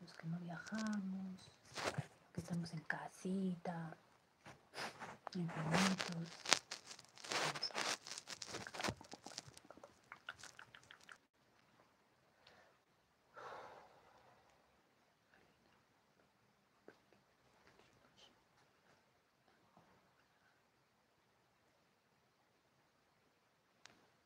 los que no viajamos, que estamos en casita, en remotos.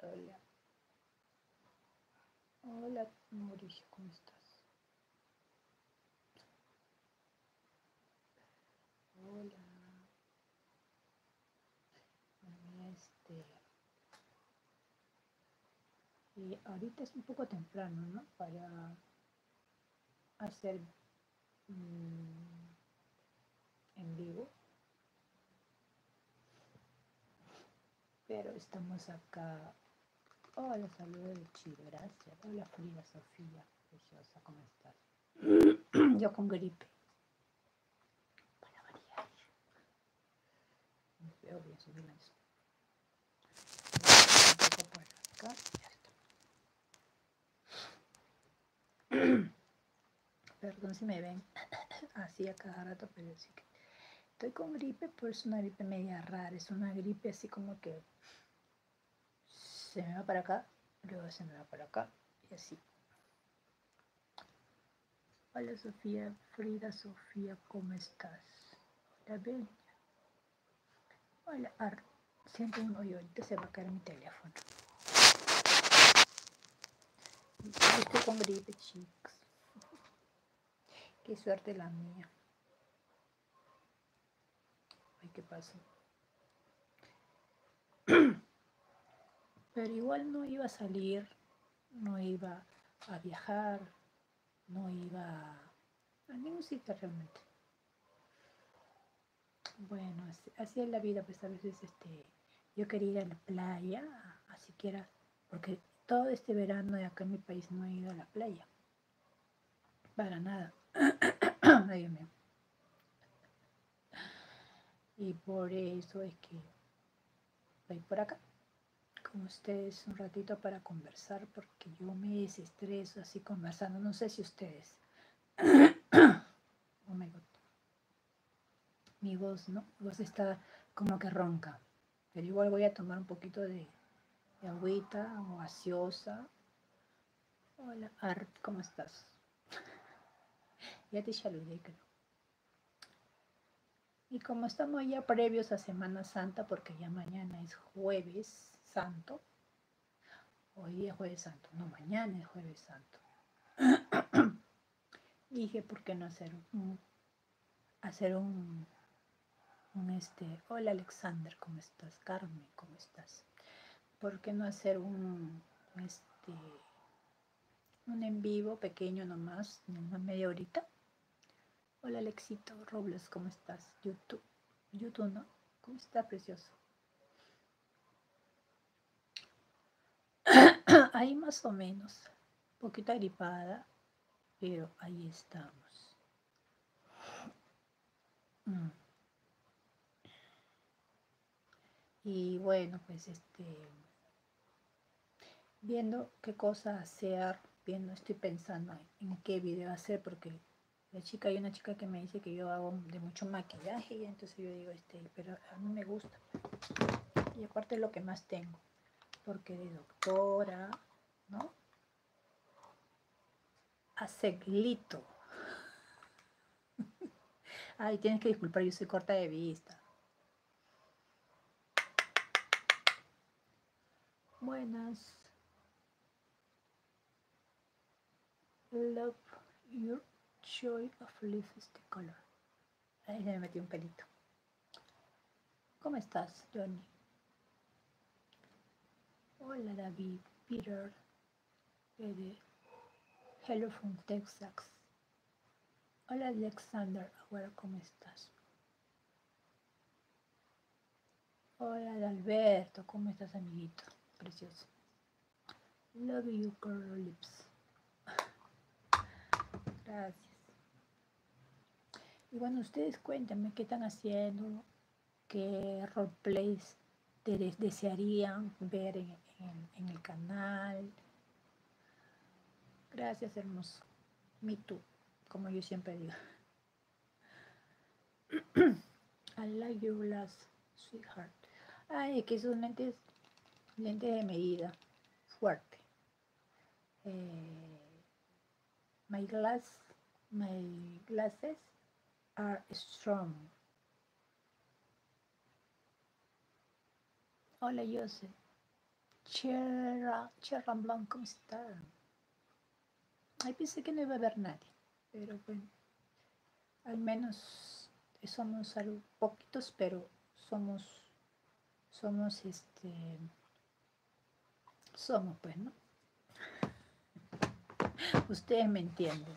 Hola. Hola, Mauricio, ¿cómo estás? Hola. Y este, eh, ahorita es un poco temprano, ¿no? Para hacer mm, en vivo. Pero estamos acá. Hola, saludos de Chile, gracias. Hola, Frida Sofía, preciosa, ¿cómo estás? Yo con gripe. Para variar. No Perdón si me ven así a cada rato, pero que estoy con gripe, pero es una gripe media rara, es una gripe así como que se me va para acá, luego se me va para acá y así. Hola Sofía, Frida Sofía, ¿cómo estás? Hola Bella, Hola, siento un hoyo, ahorita se va a caer mi teléfono. Estoy con gripe, chicos. Qué suerte la mía. Ay, qué pasó. Pero igual no iba a salir, no iba a viajar, no iba a ningún sitio realmente. Bueno, así, es la vida, pues a veces este, yo quería ir a la playa, así que era, porque todo este verano de acá en mi país no he ido a la playa. Para nada. Y por eso es que voy por acá con ustedes un ratito para conversar, porque que yo me estreso así conversando, no sé si ustedes. Oh Mi voz, ¿no? Mi voz está como que ronca. Pero igual voy a tomar un poquito de, agüita o asiosa. Hola, Art, ¿cómo estás? ya te saludé, creo. Y como estamos ya previos a Semana Santa, porque ya mañana es jueves santo, Hoy es jueves santo, no, mañana es jueves santo. Dije, ¿por qué no hacer un, hacer un, un este, hola Alexander, ¿cómo estás? Carmen, ¿cómo estás? ¿Por qué no hacer un, este, un en vivo pequeño nomás, una media horita? Hola Alexito Robles, ¿cómo estás? YouTube, YouTube, ¿no? ¿Cómo está, precioso? ahí más o menos, un poquito agripada, pero ahí estamos. Mm. Y bueno, pues este, viendo qué cosa hacer, viendo, estoy pensando en qué video hacer, porque la chica, hay una chica que me dice que yo hago de mucho maquillaje y entonces yo digo, este, pero a mí me gusta. Y aparte lo que más tengo, porque de doctora, ¿no? hace glito Ay, tienes que disculpar, yo soy corta de vista. Buenas. Love your joy of life is the color. Ahí ya me un pelito. ¿Cómo estás, Johnny? Hola, David, Peter, Hello from Texas. Hola, Alexander, ¿cómo estás? Hola Alberto, ¿cómo estás amiguito? Precioso. Love you, curl lips. Gracias. Y bueno, ustedes cuéntame qué están haciendo, qué roleplays desearían ver en, el canal. Gracias, hermoso. Me tú, como yo siempre digo. I like your glass, sweetheart. Ay, es que esos lentes, lentes de medida, fuerte. Eh, my glasses, my glasses are strong. Hola, Joseph. Cherra, Cherra Blanc, ¿cómo star. Ahí pensé que no iba a haber nadie, pero bueno, al menos somos algo, poquitos, pero somos, somos este, somos pues, ¿no? Ustedes me entienden.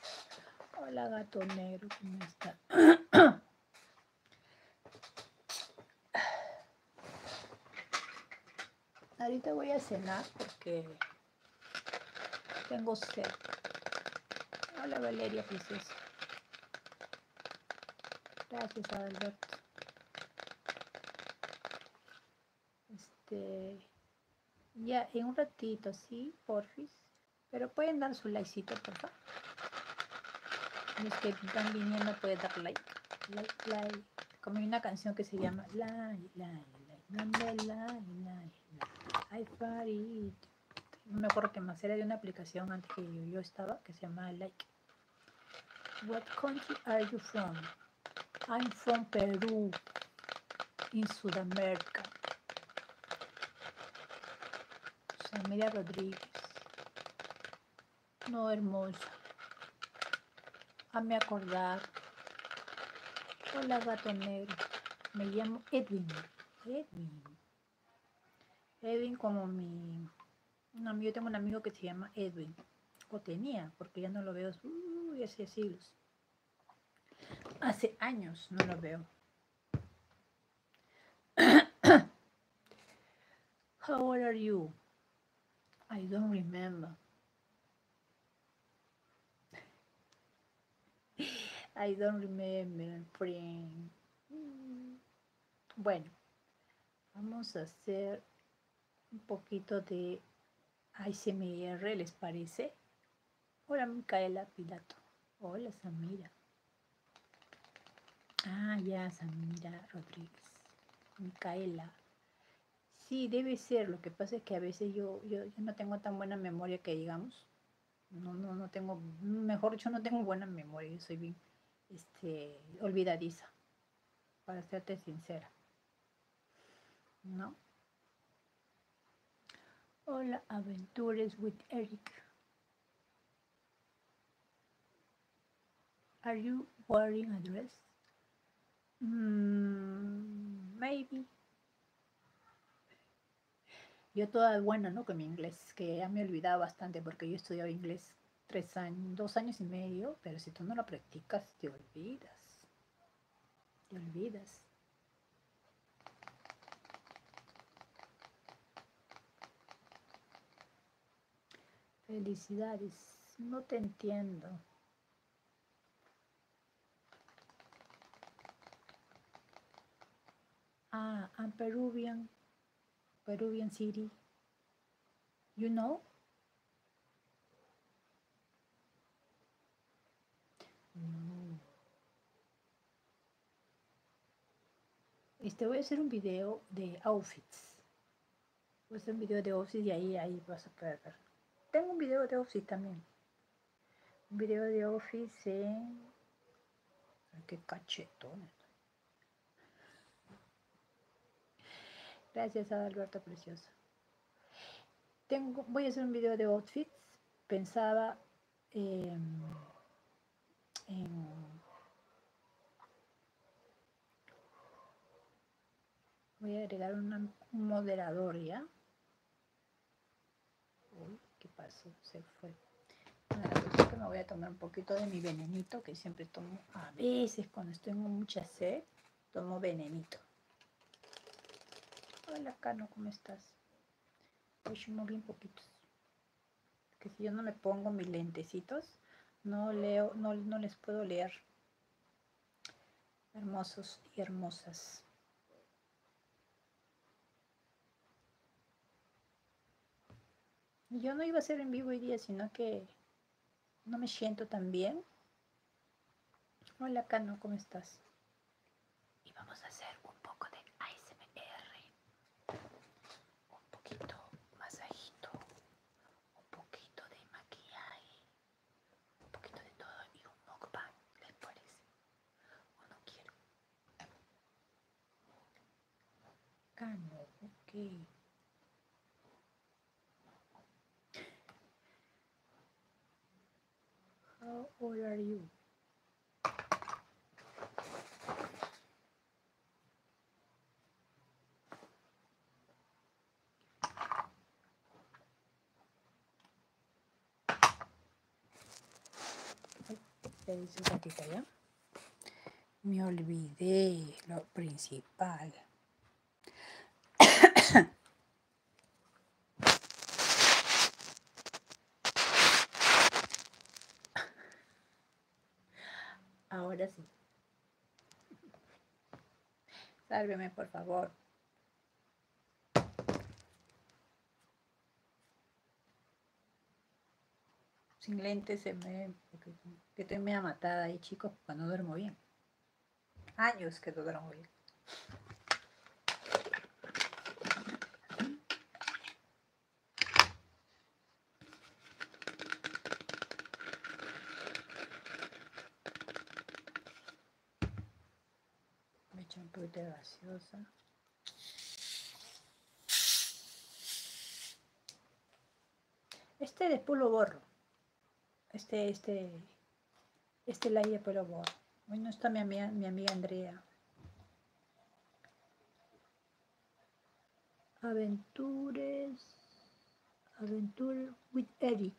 Hola gato negro, ¿cómo está? Ahorita voy a cenar porque tengo sed. Hola Valeria princesa. Gracias Alberto. Este, ya en un ratito, ¿sí? Porfis. Pero pueden dar su like por favor. Los que están viniendo pueden dar like. Like, like como hay una canción que se llama La, la, la, la, la, No me acuerdo que más era de una aplicación antes que yo, estaba que se llama Like. What country are you from? I'm from Peru, in Sudamérica. familia Rodríguez. No, hermoso a me acordar. Hola, gato negro. Me llamo Edwin. Edwin. Edwin como mi... amigo, yo tengo un amigo que se llama Edwin. O tenía, porque ya no lo veo hace siglos. Hace años no lo veo. How old are you? I don't remember. I don't remember, friend. Bueno, vamos a hacer un poquito de ASMR, ¿les parece? Hola, Micaela Pilato. Hola, Samira. Ah, ya, Samira Rodríguez. Micaela. Sí, debe ser. Lo que pasa es que a veces yo, yo, no tengo tan buena memoria que digamos. No, no, no tengo, mejor dicho, no tengo buena memoria. soy bien este, olvidadiza, para serte sincera. ¿No? Hola, Aventures with Eric. Are you wearing a dress? Mm, maybe. Yo toda buena, ¿no? Con mi inglés, que ya me he olvidado bastante porque yo estudiaba inglés tres años, dos años y medio, pero si tú no lo practicas, te olvidas. Te olvidas. Felicidades, no te entiendo. Ah, I'm Peruvian, Peruvian city. You know? Mm. Este voy a hacer un video de outfits. Voy a hacer un video de outfits y ahí, ahí vas a poder ver. Tengo un video de outfits también. Un video de Office en... ¡Qué cachetón! Gracias a Alberto Precioso. Tengo, voy a hacer un video de outfits. Pensaba em, en... Voy a agregar una, un moderador ya. ¿qué pasó? Se fue. Bueno, que me voy a tomar un poquito de mi venenito que siempre tomo a veces cuando estoy en mucha sed, tomo venenito. Hola, Cano, ¿cómo estás? poquitos. Que si yo no me pongo mis lentecitos, no leo, no, no les puedo leer. Hermosos y hermosas. Yo no iba a ser en vivo hoy día, sino que no me siento tan bien. Hola, Cano, ¿cómo estás? Y vamos a hacer un poco de ASMR. Un poquito masajito. Un poquito de maquillaje un poquito de todo y un pan, ¿les parece? ¿O no quiero? Cano, ok. How old are me olvidé lo principal. Ahora sí. Sálveme, por favor. Sin lentes se me... que estoy ha matada ahí, chicos, cuando duermo bien. Años que no duermo bien me echan un poquito de gaseosa este de borro este este este la de pulo borro hoy está mi amiga, mi amiga Andrea Aventures Aventure with Eric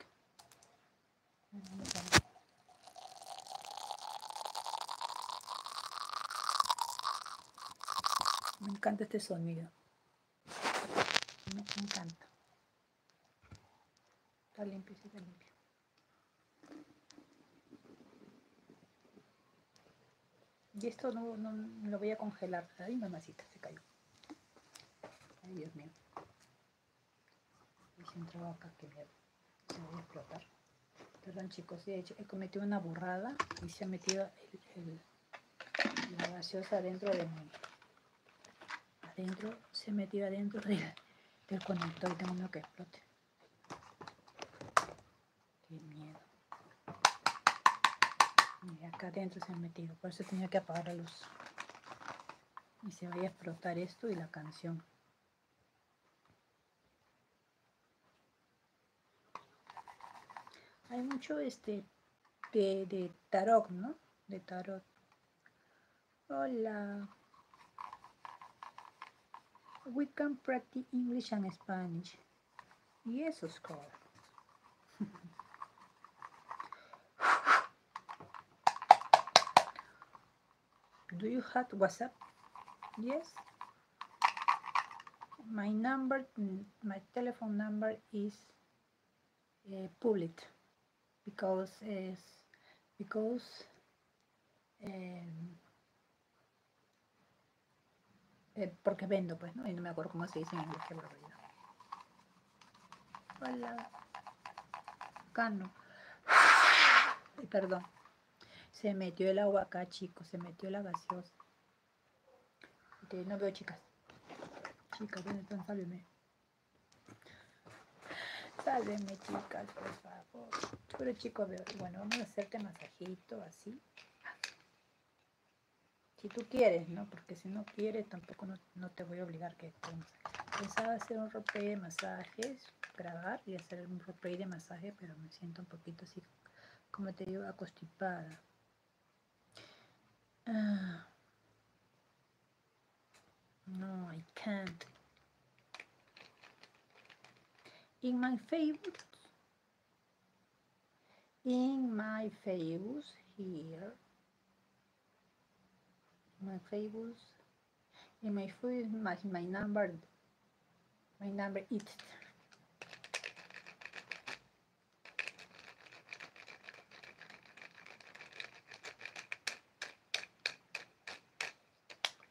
me encanta este sonido. Me encanta. Está limpio, está limpio. Y esto no, lo voy a congelar. Ay, mamacita, se cayó. Ay, Dios mío. Se un acá que me, a explotar. Perdón chicos, he, cometido una burrada y se ha metido la gaseosa dentro de mi... Adentro, se ha metido adentro del, conector y tengo miedo que explote. Qué miedo. acá adentro se ha metido, por eso tenía que apagar la luz. Y se va a explotar esto y la canción. Hay mucho este de, tarot, ¿no? De tarot. Hola. We can practice English and Spanish. Yes, correcto. Do you have WhatsApp? Yes. My number, mm, my telephone number is uh, public because is because um, porque vendo, pues, ¿no? Y no me acuerdo cómo se dice en inglés, Hola. Cano. Perdón. Se metió el agua acá, chicos. Se metió la gaseosa. no veo, chicas. Chicas, ¿dónde están? Sálveme. chicas, por favor. Pero chicos, bueno, vamos a hacerte masajito así. Si tú quieres, ¿no? Porque si no quieres, tampoco no, te voy a obligar que pensaba hacer un rope de masajes, grabar y hacer un rope de masaje, pero me siento un poquito así, como te digo, acostipada. Ah. No, I can't. In my favorites, in my favorites here, my favorites and my phone my, my number my number it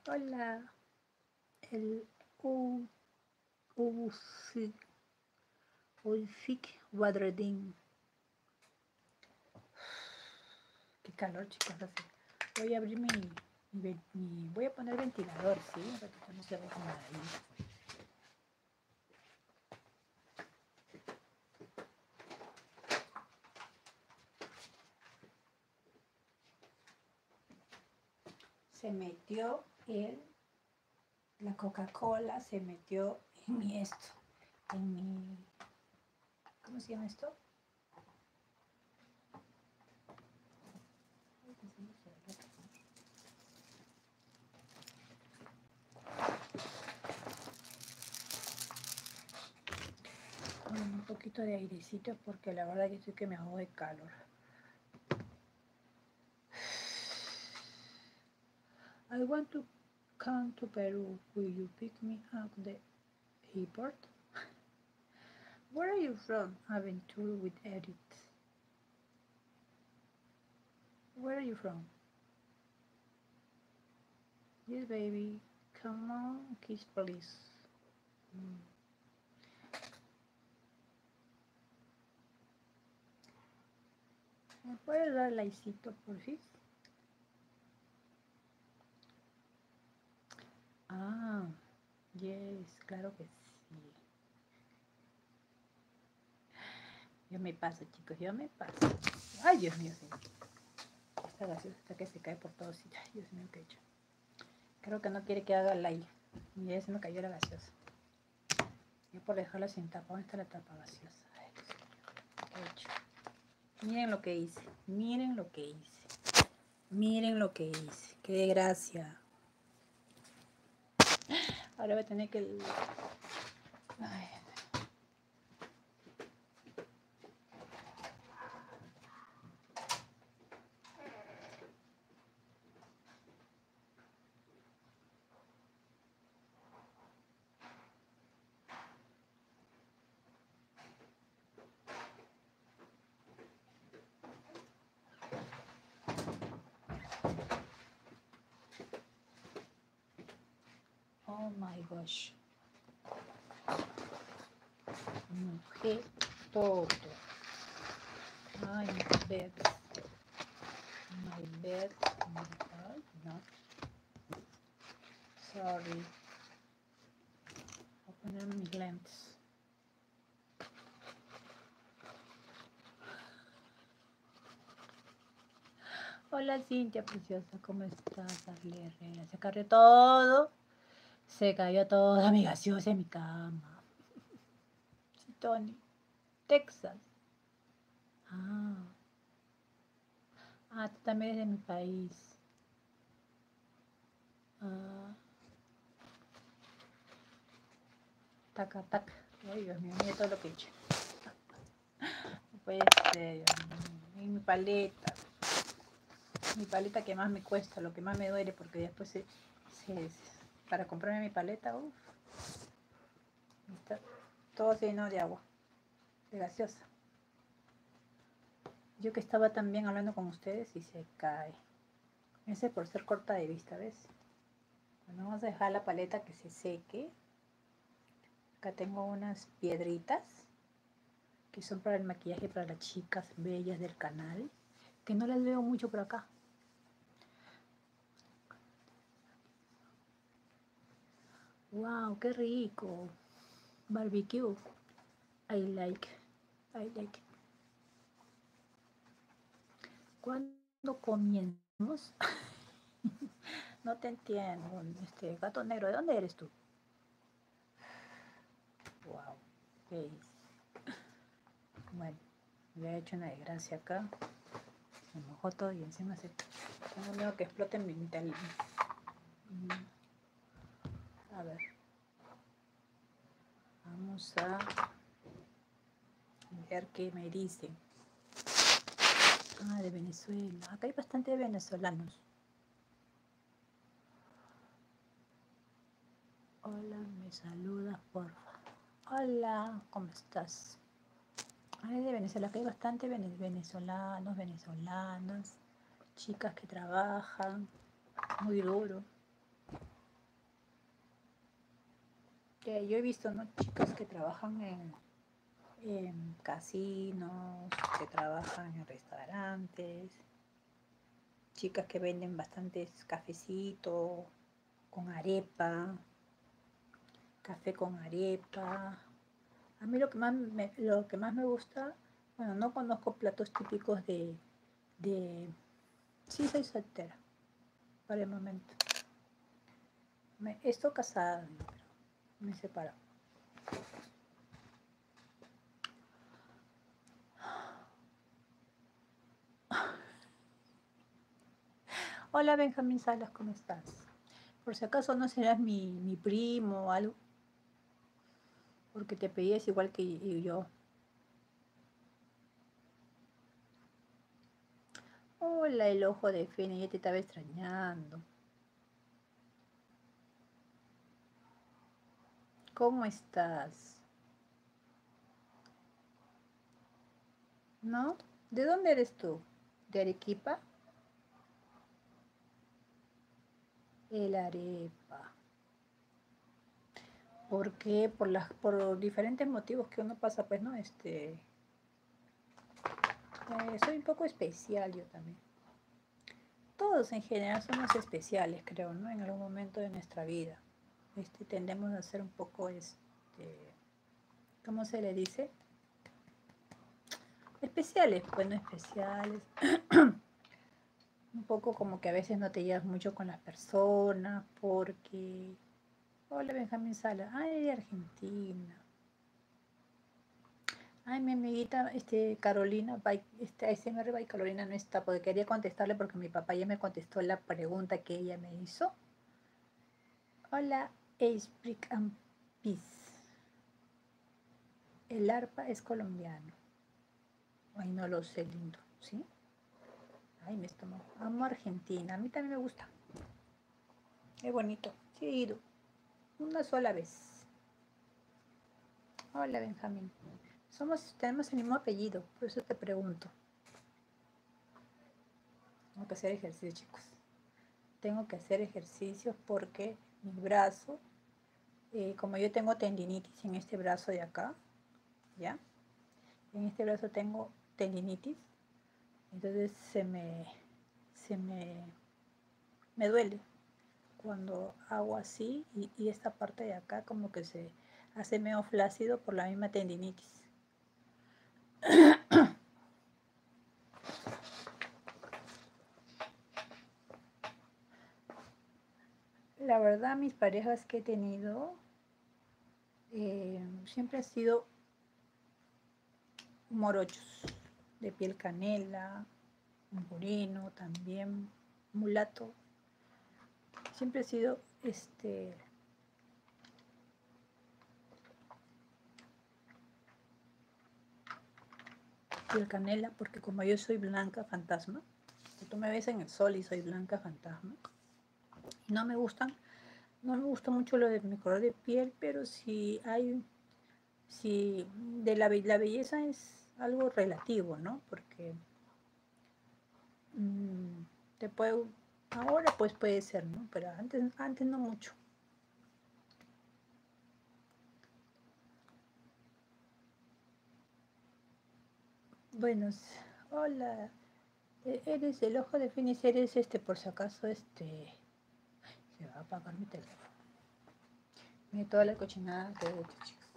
hola el Qué calor, chicos, Voy a abrir mi, Voy a poner ventilador, ¿sí? para que no se va a ahí. Se metió el, la Coca-Cola, se metió en mi esto, en mi, ¿cómo se llama esto? un poquito de airecito porque la verdad que estoy que me ahogo de calor. I want to come to Peru. Will you pick me up the keyboard? Where are you from? I'm in tour with edit. Where are you from? Yes, baby. Come on, kiss, please. Mm. ¿Me puedes dar likecito, por fin? Ah, yes, claro que sí. Yo me paso, chicos, yo me paso. Ay, Dios mío, sí. Esta gaseosa está que se cae por todos. Ay, Dios mío, qué hecho. Creo que no quiere que haga la... aire. se me cayó la gaseosa. Yo por dejarla sin tapa. ¿Dónde está la tapa gaseosa? hecho? Miren lo que hice, miren lo que hice, miren lo que hice, qué gracia. Ahora voy a tener que... Oh my gosh. Morrer hum, todo. Ai, my bed. My bed. My bed. Not. Sorry. Voy a ponerme mis lentes. Hola Cintia preciosa, ¿cómo estás? Se cayó todo. Se cayó todo mi gaseosa en mi cama. Sí, Tony. Texas. Ah. Ah, tú también eres de mi país. Ah. Ay, Dios mío, todo lo que mi paleta. Mi paleta que más me cuesta, lo que más me duele, porque después para comprarme mi paleta, uff. Está todo lleno de agua, de gaseosa. Yo que estaba también hablando con ustedes y se cae. Ese por ser corta de vista, ¿ves? vamos a dejar la paleta que se seque. Acá tengo unas piedritas que son para el maquillaje para las chicas bellas del canal, que no las veo mucho por acá. ¡Wow! ¡Qué rico! Barbecue. I like, I like. Cuando comienzamos, no te entiendo, este gato negro, ¿de dónde eres tú? Wow, ¿qué Bueno, le he hecho una desgracia acá, me mojó todo y encima se. Tengo miedo que explote mi metal. Mm. A ver. Vamos a ver qué me dicen. Ah, de Venezuela. Acá hay bastante venezolanos. Hola, me saludas, porfa. Hola, ¿cómo estás? Ah, de Venezuela. Acá hay bastante venezolanos, venezolanas chicas que trabajan muy duro. Que yo he visto ¿no? chicas que trabajan en, en casinos, que trabajan en restaurantes, chicas que venden bastantes cafecitos con arepa, café con arepa. A mí lo que lo que más me gusta, bueno, no conozco platos típicos de, de... Sí, soy soltera, para el momento. Me, estoy casada, me separo Hola Benjamín Salas, ¿cómo estás? Por si acaso no serás mi, mi primo o algo, porque te pedías igual que yo. Hola, el ojo de Fene, ya te estaba extrañando. ¿Cómo estás? ¿No? ¿De dónde eres tú? ¿De Arequipa? El arepa. Porque por las por diferentes motivos que uno pasa, pues no, este eh, soy un poco especial yo también. Todos en general somos especiales, creo, ¿no? En algún momento de nuestra vida. Este, tendemos a ser un poco, este, ¿cómo se le dice? Especiales, bueno, pues, especiales. un poco como que a veces no te llevas mucho con las personas porque... Hola Benjamín Sala, ay de Argentina. Ay, mi amiguita este, Carolina, está este, arriba y Carolina no está, porque quería contestarle porque mi papá ya me contestó la pregunta que ella me hizo. Hola, Ace Brick and Peace. El arpa es colombiano. Ay, no lo sé, lindo, ¿sí? Ay, me estuvo. Amo Argentina, a mí también me gusta. Es bonito, he ido. Una sola vez. Hola, Benjamín. Somos, tenemos el mismo apellido, por eso te pregunto. Tengo que hacer ejercicio, chicos. Tengo que hacer ejercicios porque mi brazo y eh, como yo tengo tendinitis en este brazo de acá, ¿ya? En este brazo tengo tendinitis, entonces se me, se me, duele cuando hago así y, esta parte de acá como que se hace medio flácido por la misma tendinitis la verdad, mis parejas que he tenido eh, siempre han sido morochos, de piel canela, moreno también, mulato. Siempre he sido este piel canela, porque como yo soy blanca fantasma, tú me ves en el sol y soy blanca fantasma. No me gustan, no me gusta mucho lo de mi color de piel, pero si hay, si de la, belleza es algo relativo, ¿no? Porque mm, te puedo ahora pues puede ser, ¿no? Pero antes, antes no mucho. Buenos, hola. E, eres el ojo de Phoenix, eres este, por si acaso, este. Se va a apagar mi teléfono. Mira toda la cochinada de he chicos.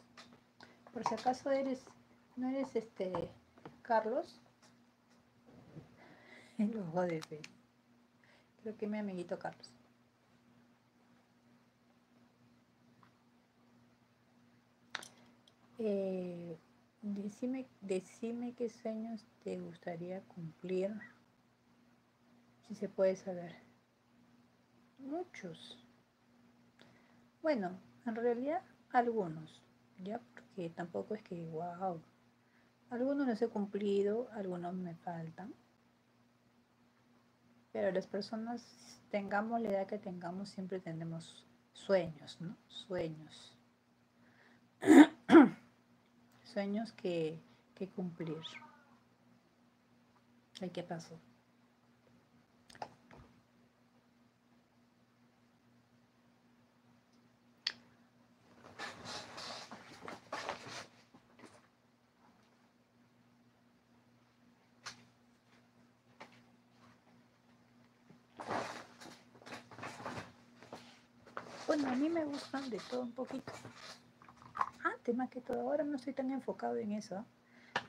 Por si acaso eres. No eres este. Carlos. El ojo de Fin. Creo que mi amiguito Carlos. Eh, decime, decime qué sueños te gustaría cumplir, si se puede saber. Muchos. Bueno, en realidad algunos, ya porque tampoco es que, wow, algunos los he cumplido, algunos me faltan. Pero las personas, tengamos la edad que tengamos, siempre tenemos sueños, ¿no? Sueños. sueños que, cumplir. ¿Y qué pasó? Bueno, a mí me gustan de todo un poquito. Antes ah, más que todo, ahora no estoy tan enfocado en eso. ¿ah?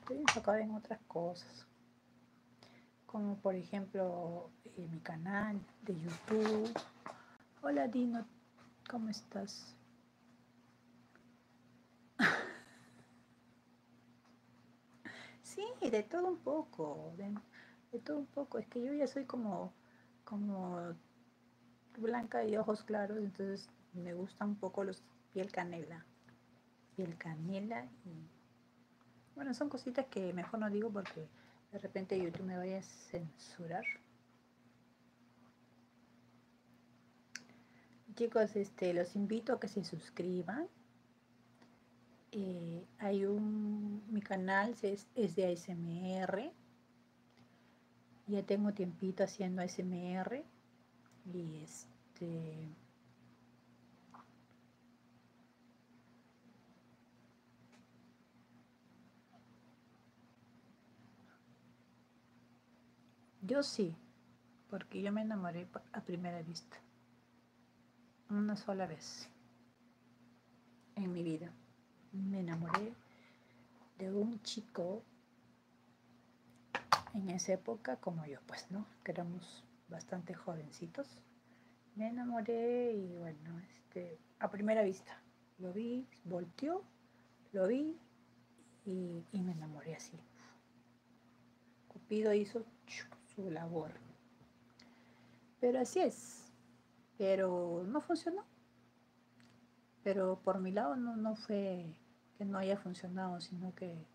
Estoy enfocado en otras cosas. Como por ejemplo eh, mi canal de YouTube. Hola Dino, ¿cómo estás? Sí, de todo un poco, de, todo un poco. Es que yo ya soy como, como blanca y ojos claros, entonces me gusta un poco los piel canela. Piel canela bueno, son cositas que mejor no digo porque de repente YouTube me vaya a censurar. Chicos, este, los invito a que se suscriban eh, hay un, mi canal es, es, de ASMR. Ya tengo tiempito haciendo ASMR. Y este... Yo sí, porque yo me enamoré a primera vista. Una sola vez en mi vida me enamoré de un chico en esa época como yo, pues, ¿no? Que éramos bastante jovencitos. Me enamoré y bueno, este, a primera vista, lo vi, volteó, lo vi y me enamoré así. Cupido hizo su labor. Pero así es. Pero no funcionó. Pero por mi lado no, no fue que no haya funcionado, sino que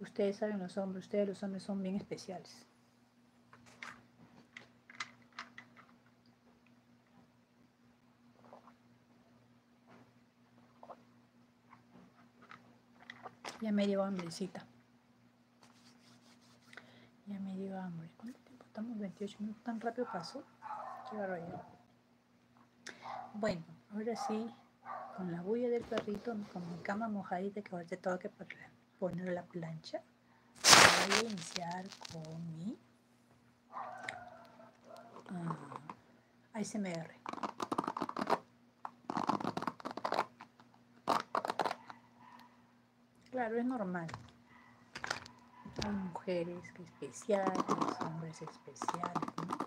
ustedes saben los hombres, ustedes los hombres son bien especiales. Ya me dio hambrecita. Ya me dio hambre. ¿Cuánto tiempo estamos? 28 minutos. Tan rápido pasó. Bueno, ahora sí, con la bulla del perrito, con mi cama mojadita que te tengo que poner la plancha. Voy a iniciar con mi... ASMR ah, ahí Claro, es normal. mujeres especiales, hombres especiales, ¿no?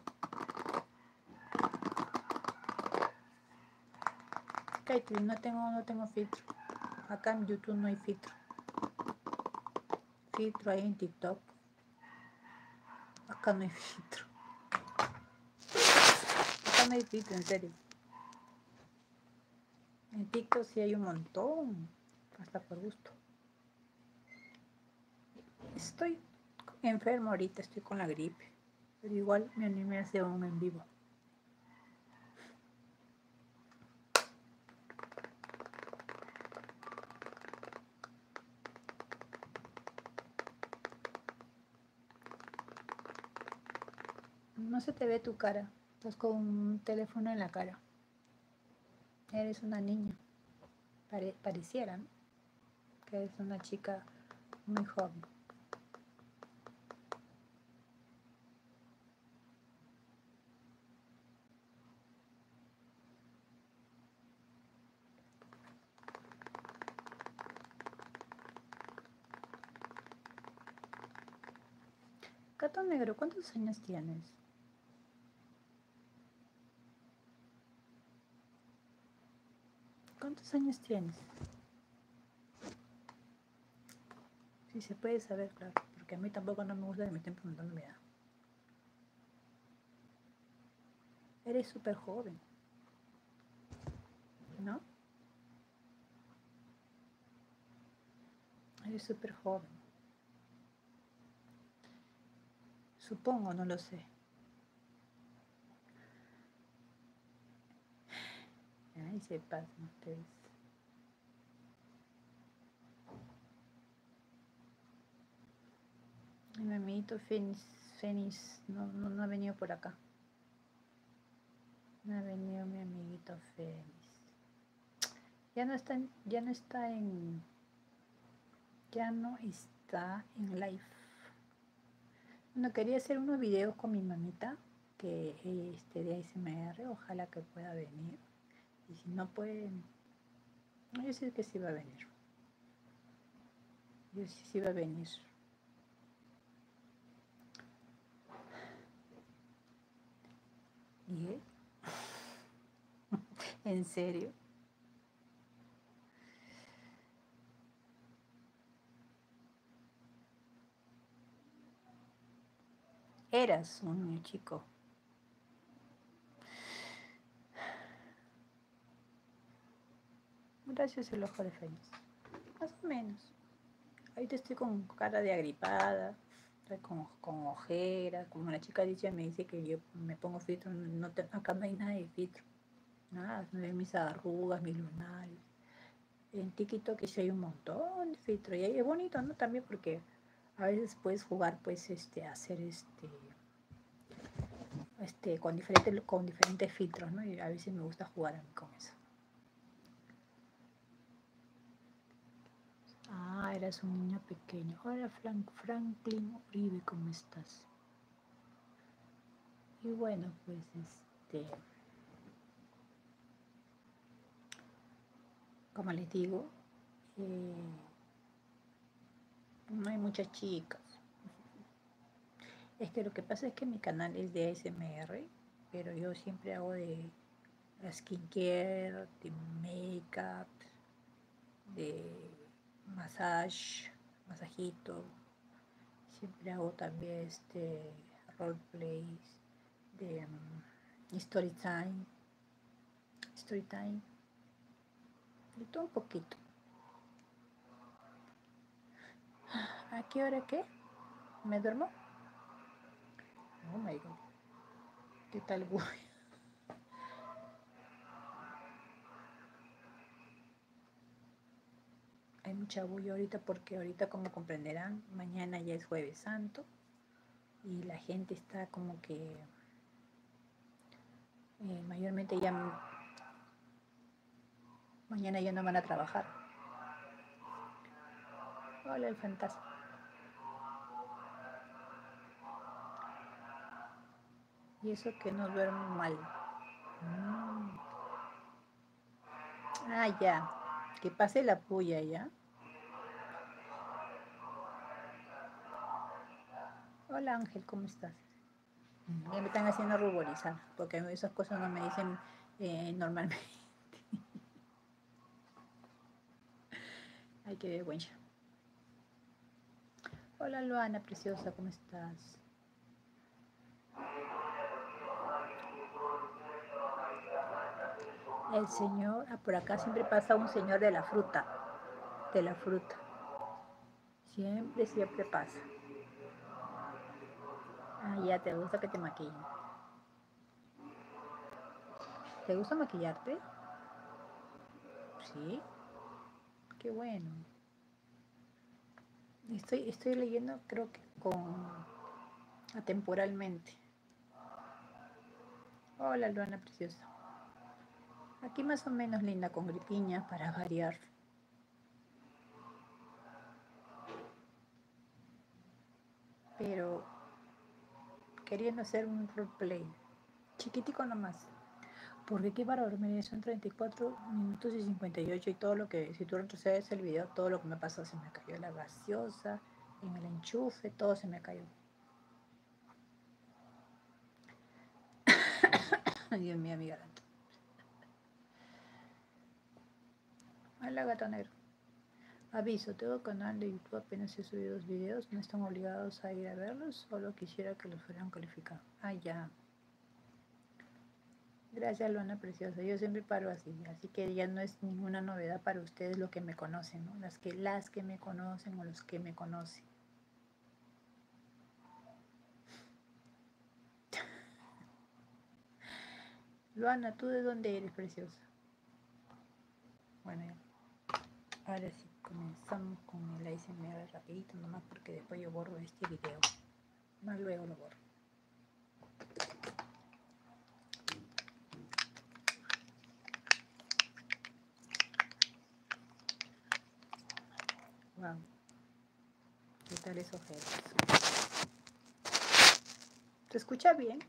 no tengo, no tengo filtro. Acá en YouTube no hay filtro. Filtro hay en TikTok. Acá no hay filtro. Está TikTok, en serio. En TikTok sí hay un montón, hasta por gusto. Estoy enfermo ahorita, estoy con la gripe, pero igual me animé a hacer un en vivo. No se te ve tu cara. Estás con un teléfono en la cara. Eres una niña. pareciera, Que eres una chica muy joven. Cato negro, ¿cuántos años tienes? ¿Cuántos años tienes? Si se puede saber, claro, porque a mí tampoco no me gusta que me estén preguntando mi edad. Eres súper joven. ¿No? Eres súper joven. Supongo, no lo sé. Ay, se pasan ustedes. Mi mamito Fénix, Fénix no, no ha venido por acá. Me ha venido mi amiguito Félix. Ya no está en, ya no está en, ya no está en live. Bueno, quería hacer unos videos con mi mamita, que este de ASMR, ojalá que pueda venir. Y si no puede, yo sé que sí va a venir. Yo sí, sí va a venir. ¿Y ¿En serio? Eras un chico. Gracias el ojo de fe, Más o menos. te estoy con cara de agripada, con, ojeras. Como la chica dicha me dice que yo me pongo filtro, no te, acá no hay nada de filtro. Nada, mis arrugas, mis lunares. En tiquito que sí hay un montón de filtro. Y es bonito, ¿no? También porque a veces puedes jugar, pues, este, hacer este este, con, diferentes, con diferentes filtros, ¿no? Y a veces me gusta jugar con eso. Ah, eras un niño pequeño. Hola Frank, Franklin Uribe, ¿cómo estás? Y bueno, pues este... Como les digo, eh, no hay muchas chicas. Es que lo que pasa es que mi canal es de ASMR, pero yo siempre hago de skincare, de makeup, de massage, masajito. Siempre hago también este roleplays, de mm, story time, story time, de todo un poquito. ¿A qué hora qué? ¿Me duermo? Oh my god. ¿Qué tal voy? Hay mucha bulla ahorita porque ahorita como comprenderán, mañana ya es jueves santo y la gente está como que eh, mayormente ya Mañana ya no van a trabajar. Hola el fantasma. Y eso que no duermo mal. Mm. Ah, ya. Que pase la puya ya. Hola Ángel, ¿cómo estás? me están haciendo ruborizar, porque esas cosas no me dicen eh, normalmente. hay que vergüenza. Hola, Luana, preciosa, ¿cómo estás? El señor, ah, por acá siempre pasa un señor de la fruta, de la fruta. Siempre, siempre pasa. Ah, ya te gusta que te maquillen. ¿Te gusta maquillarte? Sí. Qué bueno. Estoy, estoy leyendo, creo que con atemporalmente. Hola, Luana preciosa. Aquí más o menos linda con gripiña para variar. Pero queriendo hacer un roleplay, chiquitico nomás. Porque aquí para dormir son 34 minutos y 58 y todo lo que, si tú retrocedes el video, todo lo que me pasó, se me cayó la gaseosa, me la enchufe, todo se me cayó. Dios mío, Hola gato negro. Aviso, tengo canal de YouTube, apenas he subido los videos, no están obligados a ir a verlos, solo quisiera que los fueran calificados. Ah, ya. Gracias, lona Preciosa. Yo siempre paro así, así que ya no es ninguna novedad para ustedes lo que me conocen, Las que, las que me conocen o los que me conocen. Luana, ¿tú de dónde eres, preciosa? Bueno, ahora sí, comenzamos con el ASMR rapidito nomás porque después yo borro este video. Más luego lo borro. Wow. ¿Qué tal esos ¿Se escucha bien?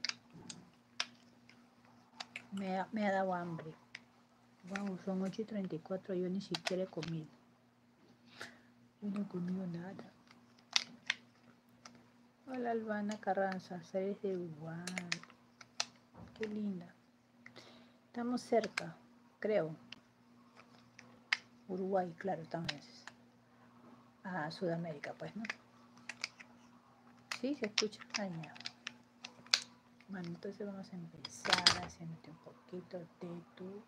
Me ha, me dado hambre. Vamos, son 8 y 34, yo ni siquiera he comido. Yo no he comido nada. Hola Albana Carranza, eres de Uruguay. Qué linda. Estamos cerca, creo. Uruguay, claro, también a Sudamérica, pues, ¿no? si se escucha. Ay, Bueno, entonces vamos a empezar haciéndote un poquito de tu.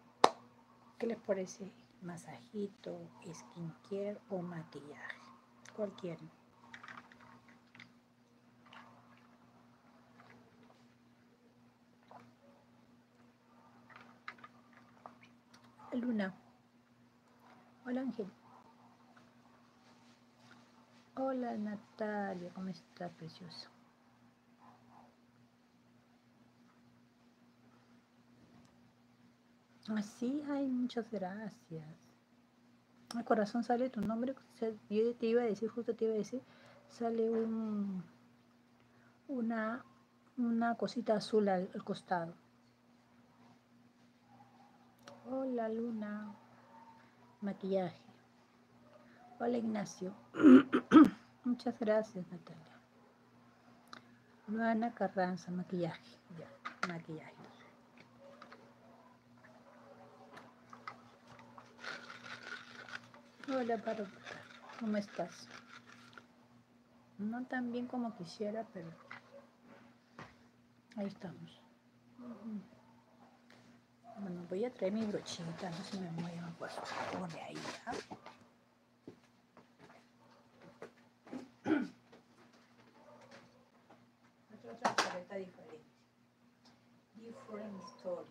¿Qué les parece? Masajito, skincare o maquillaje. Cualquiera. Luna. Hola Ángel. Hola Natalia, ¿cómo estás, precioso Así, ah, hay muchas gracias. El corazón sale tu nombre. Yo te iba a decir, justo te iba a decir, sale un una una cosita azul al, costado. Hola Luna, maquillaje. Hola Ignacio. Muchas gracias Natalia. Luana Carranza, maquillaje. Ya, maquillaje. Hola para ¿cómo estás? No tan bien como quisiera, pero ahí estamos. Bueno, voy a traer mi brochita, no se me muevan, pues, por ahí. ¿ah? otra otra paleta diferente. Different story.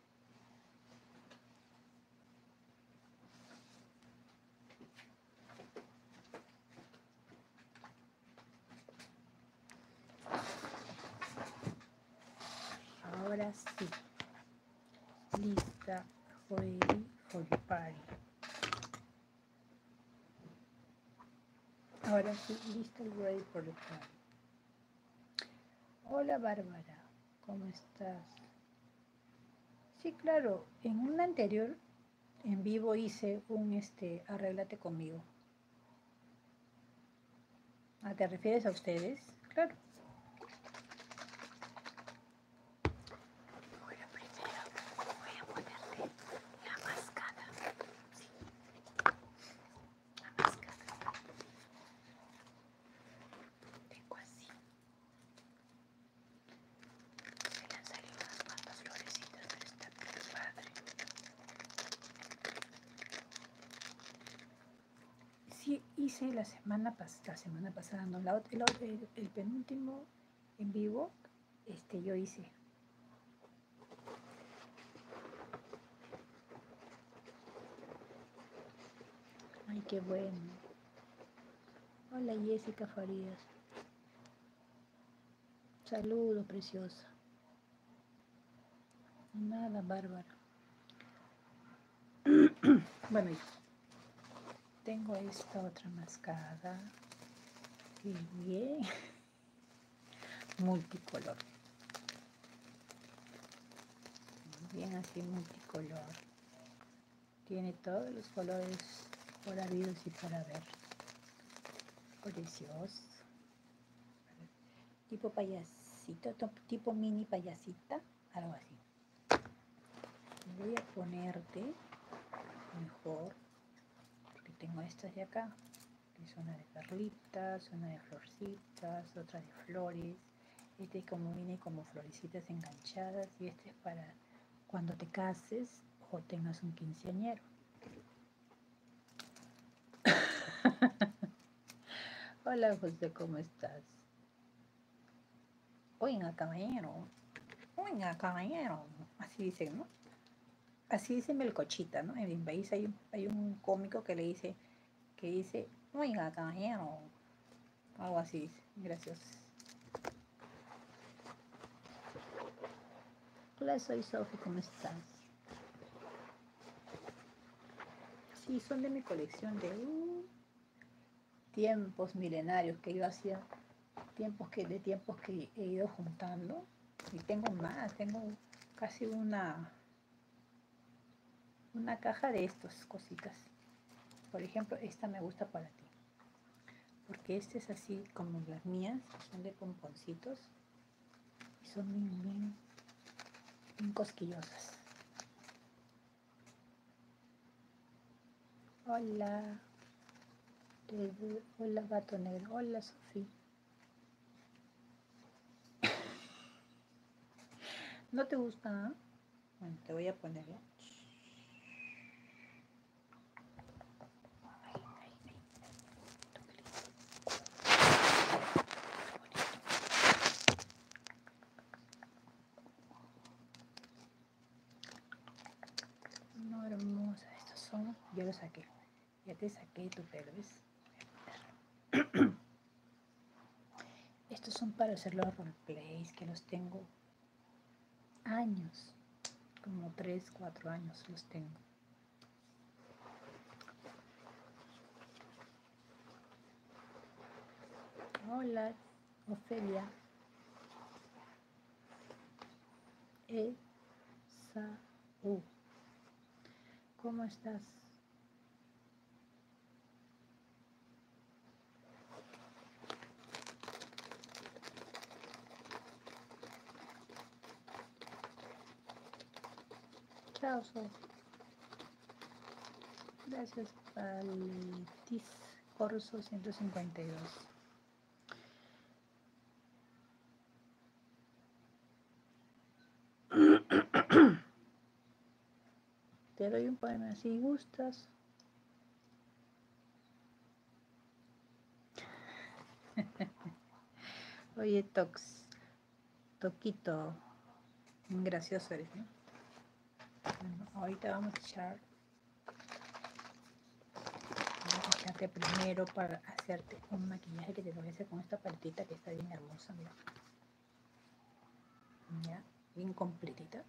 Ahora sí. Lista Hoy Party. Ahora sí, listo el Ready for the Party. Hola Bárbara, ¿cómo estás? Sí, claro. En una anterior en vivo hice un este conmigo. ¿A ah, te refieres a ustedes? Claro. Bueno, primero voy a ponerle la mascada. Sí. La mascada. Tengo así. Se le han salido unas cuantas florecitas, de esta bien padre. Sí, hice la semana, pasada, semana pasada, no, el, penúltimo en vivo, este yo hice. Ay, qué bueno. Hola Jessica Farías. saludo preciosa. Nada, Bárbara. bueno, tengo esta otra mascada. bien. multicolor. Bien así multicolor. Tiene todos los colores por habidos y para ver Precioso. Tipo payasito, tipo mini payasita, algo así. Voy a ponerte mejor, porque tengo estas de acá, que una de perlitas, una de florcitas, otra de flores este como viene como florecitas enganchadas y este es para cuando te cases o tengas un quinceañero. Hola José, ¿cómo estás? Oiga, caballero. Oiga, caballero. Así dicen, ¿no? Así dice cochita, ¿no? En el país hay, hay un cómico que le dice, que dice, oiga, caballero. Algo así, gracias. Hola, soy Sophie, ¿cómo estás? Sí, son de mi colección de uh, tiempos milenarios que yo hacía, tiempos que, de tiempos que he ido juntando. Y tengo más, tengo casi una, una caja de estas cositas. Por ejemplo, esta me gusta para ti. Porque este es así como las mías, son de pomponcitos. Y son muy bien, cosquillosas. Hola. Hola gato Hola Sofí. ¿No te gusta? Ah? Bueno, te voy a ponerlo. ¿eh? No, hermosa, estos son, ya los saqué. Ya te saqué tu pelo, ¿ves? Estos son para hacer los roleplays que los tengo años, como tres, cuatro años los tengo. Hola, Ofelia. E, u ¿Cómo estás? Soy. Gracias, Paletis. Corso 152. Te doy un poema si gustas. Oye, Tox, Toquito, gracioso eres, ¿no? ahorita vamos a echar. Vamos a echarte primero para hacerte un maquillaje que te lo con esta paletita que está bien hermosa, Ya, bien completita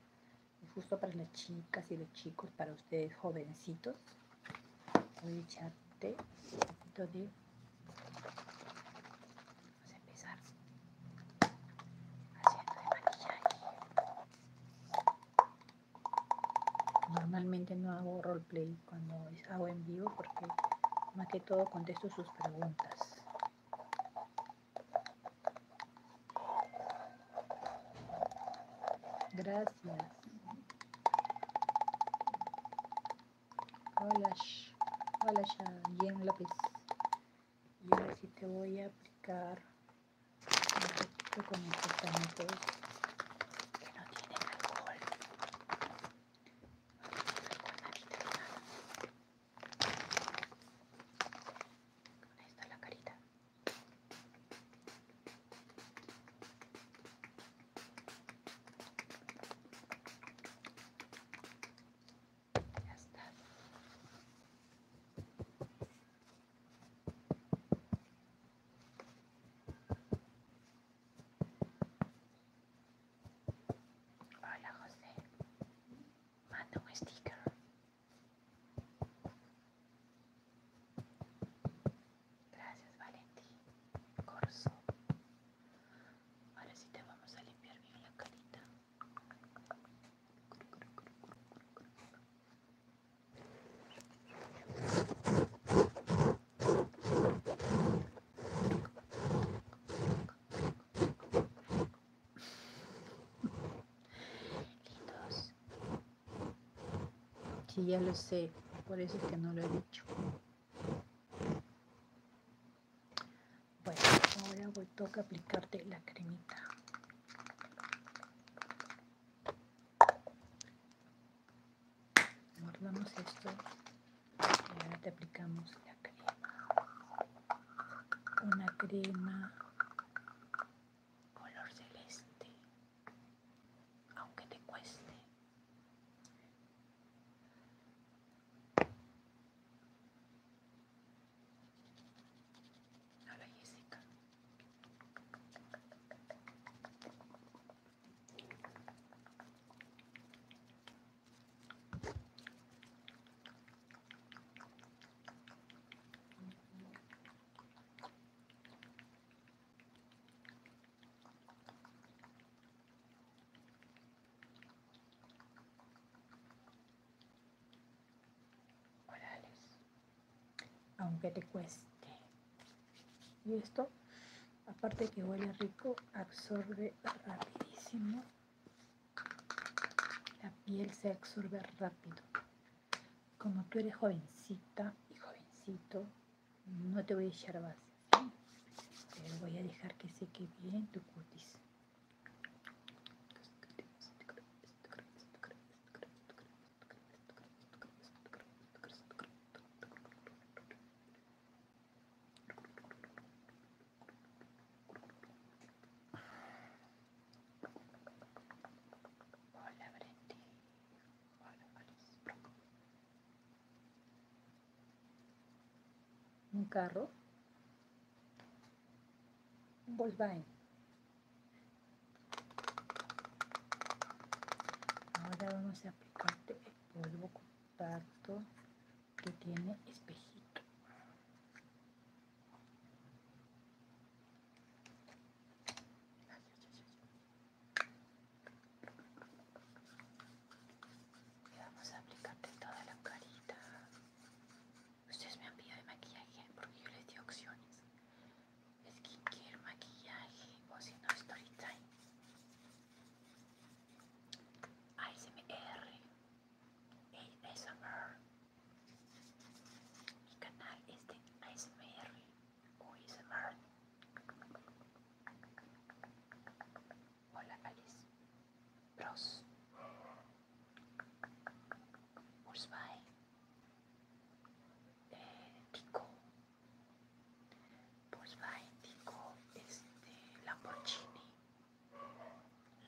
justo para las chicas y los chicos, para ustedes jovencitos. Voy a de... Vamos a empezar haciendo de maquillaje. Normalmente no hago roleplay cuando hago en vivo porque más que todo contesto sus preguntas. Gracias. Hola, hola, bien López. Y ahora sí te voy a aplicar un poquito con estos que no tienen alcohol. ahí está la carita. Hola José, manda un sticker. Gracias, Valentín. Corso. Ahora sí te vamos a limpiar bien la carita. Lindos. ya lo sé, por eso es que no lo he dicho. Bueno, ahora voy, toca aplicarte la cremita. Guardamos esto y ahora te aplicamos la crema. Una crema color celeste, aunque te cueste. Jessica aunque te cueste. Y esto, aparte que huele rico, absorbe rapidísimo. La piel se absorbe rápido como tú eres jovencita y jovencito, no te voy a echar base. Pero voy a dejar que seque bien tu cutis. Hola Hola Un carro. Un Volkswagen. Ahora vamos a aplicarte el polvo compacto que tiene espejito. Y vamos a aplicarte toda la carita. Ustedes me han pedido de maquillaje porque yo les di opciones. Skincare, maquillaje o si no, story time. ASMR. ASMR. Mi canal es de ASMR Hola Alice. Bros. Busby, Eh, Tico. Busby Tico, este, Lamborghini.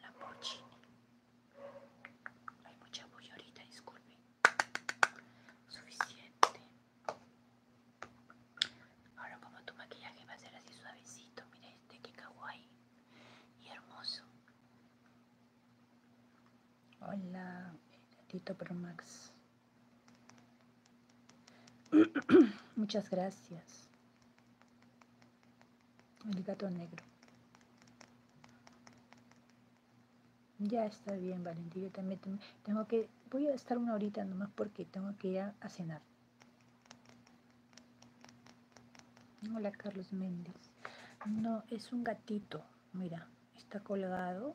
Lamborghini. Hay mucha bulla ahorita, disculpen suficiente ahora como tu maquillaje va a ser así suavecito mira este que kawaii y hermoso hola gatito pro max muchas gracias el gato negro ya está bien, Valentín. Yo también tengo que. Voy a estar una horita nomás porque tengo que ir a, cenar. Hola, Carlos Méndez. No, es un gatito. Mira, está colgado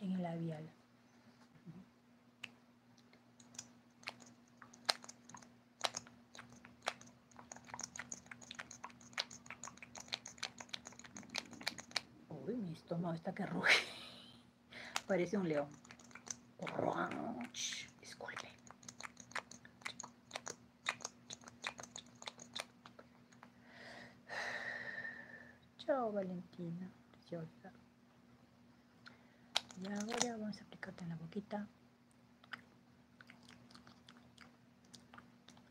en el labial. Uy, mi estómago está que ruge. Parece un león. Disculpe. Chao, Valentina. y ahora vamos a aplicarte en la boquita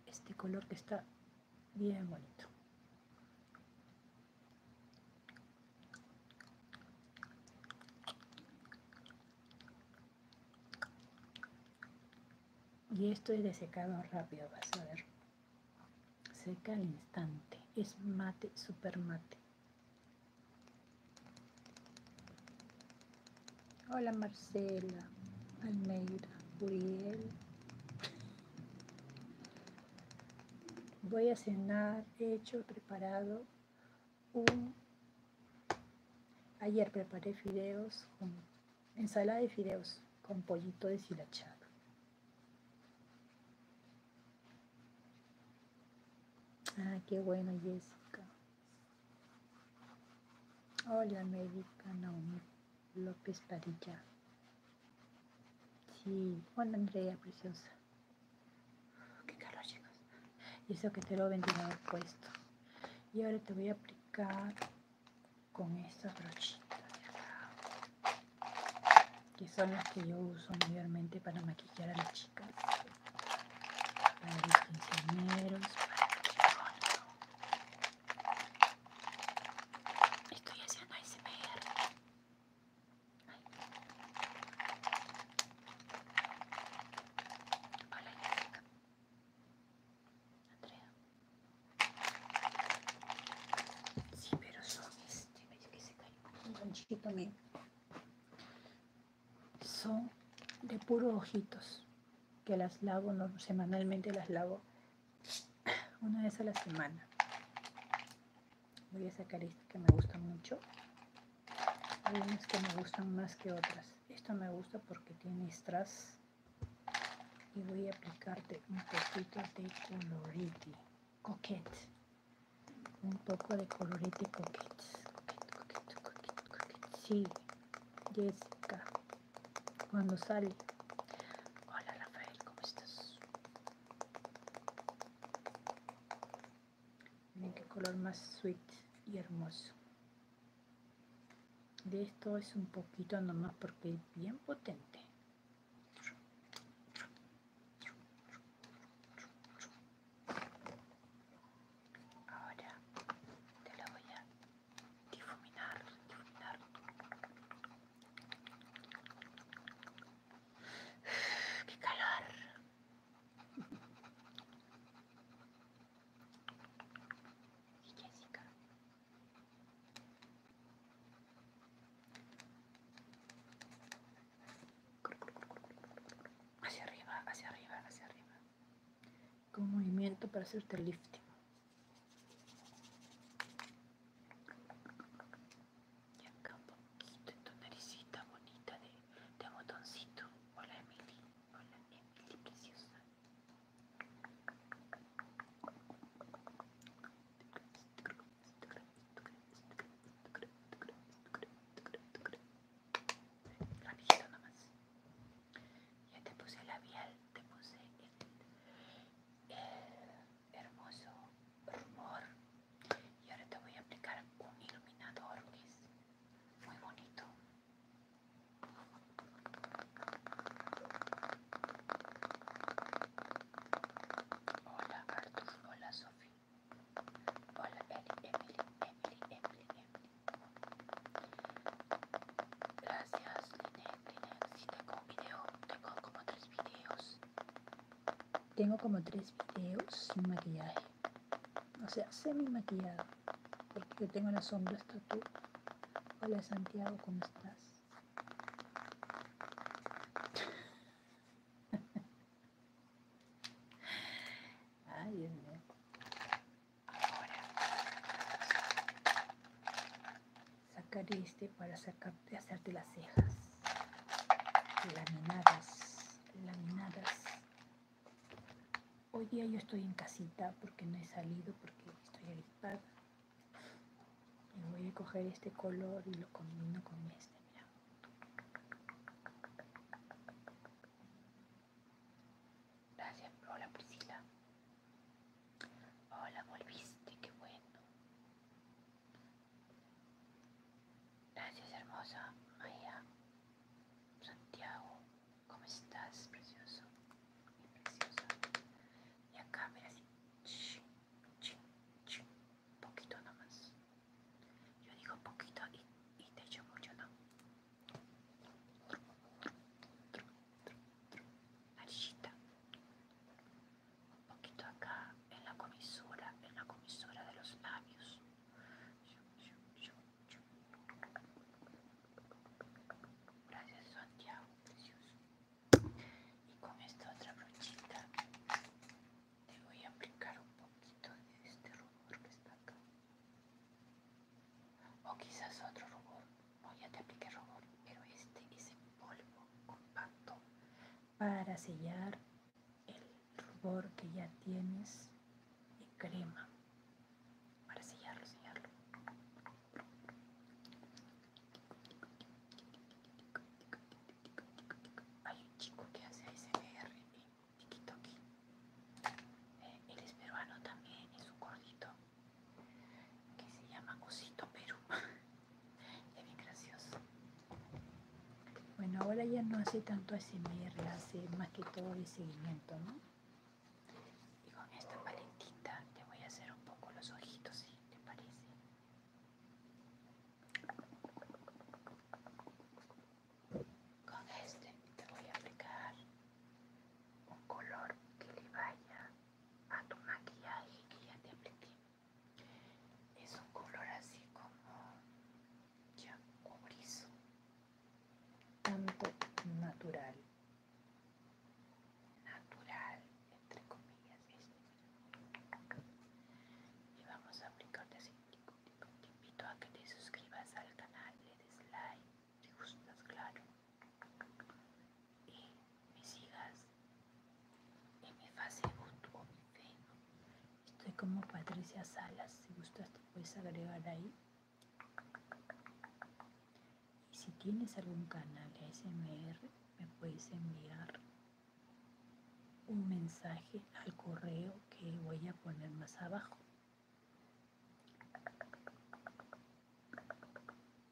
este color que está Bien bonito. Y esto es de secado rápido, vas a ver. Seca al instante. Es mate, super mate. Hola Marcela, Almeida, Uriel. Voy a cenar, he hecho, preparado un... Ayer preparé fideos, ensalada de fideos con pollito deshilachado. Ah, qué bueno, Jessica. Hola, médica Naomi López Padilla. Sí, Juan Andrea, preciosa. Qué calor, chicos. Y eso que te lo ventilador puesto. Y ahora te voy a aplicar con estas brochitas Que son las que yo uso mayormente para maquillar a las chicas. Para los Estoy haciendo ASMR. Ay. Hola, Jessica. Andrea. Sí, pero son este, que se cayó un ganchito mío. Son de puros ojitos que las lavo no, semanalmente las lavo una vez a la semana voy a sacar esto que me gusta mucho hay unas que me gustan más que otras esto me gusta porque tiene strass y voy a aplicarte un poquito de coloriti coquete un poco de coloriti coquete coquete coquete coquete sí Jessica cuando sale. Hola Rafael, ¿cómo estás? Miren qué color más sweet y hermoso. De esto es un poquito nomás porque es bien potente. Ahora te lo voy a difuminar, difuminar. ¡Qué calor! Hacia arriba, hacia arriba, hacia arriba. Con movimiento para hacerte lifting. Y acá un poquito en tu naricita bonita de, de botoncito. Hola Emily. Hola Emily, preciosa. nomás. Ya te puse el labial, te puse el, el hermoso rumor y ahora te voy a aplicar un iluminador que es muy bonito hola Artur, hola sofía hola Emily, Emily, Emily, Emily, gracias Linnea si tengo un video, tengo como tres videos. Tengo como tres videos sin maquillaje. O sea, semi maquillado. Porque tengo tengo sombra hasta tatu. Hola Santiago, ¿cómo estás? Ay, Dios mío. Ahora sacaré este para hacerte las cejas laminadas, laminadas. Hoy día yo estoy en casita porque no he salido, porque estoy agripada. Y voy a coger este color y lo combino con este, mira. Gracias, la Priscila. Hola, volviste, qué bueno. Gracias, hermosa Maya. Santiago, ¿cómo estás, precioso? Y preciosa. Y acá, mira así. Poquito nomás. Yo digo poquito y, y te echo mucho, ¿no? un poquito acá en la comisura en la comisura de los labios gracias Santiago precioso y con esta otra brochita te voy a aplicar un poquito de este rubor que está acá o quizás otro rubor o ya te apliqué rubor, pero este es en polvo compacto para sellar el rubor que ya tienes de crema, para sellarlo, sellarlo. Hay un chico que hace ASMR en eh, TikTok. Eh, él es peruano también, es un gordito que se llama Cosito Perú. es bien gracioso. Bueno, ahora ya no hace tanto SMR, hace más que todo el seguimiento, ¿no? Y con esta paletita te voy a hacer un poco los ojitos, si te parece. Con este te voy a aplicar un color que le vaya a tu maquillaje que ya te apliqué. Es un color así como ya cobrizo, tanto natural, natural entre comillas. Y vamos a aplicarte así. Te invito a que te suscribas al canal, le des like, te gustas, claro y me sigas y me Facebook o mi Estoy como Patricia Salas, si gustas te puedes agregar ahí. Y si tienes algún canal ASMR, me puedes enviar un mensaje al correo que voy a poner más abajo.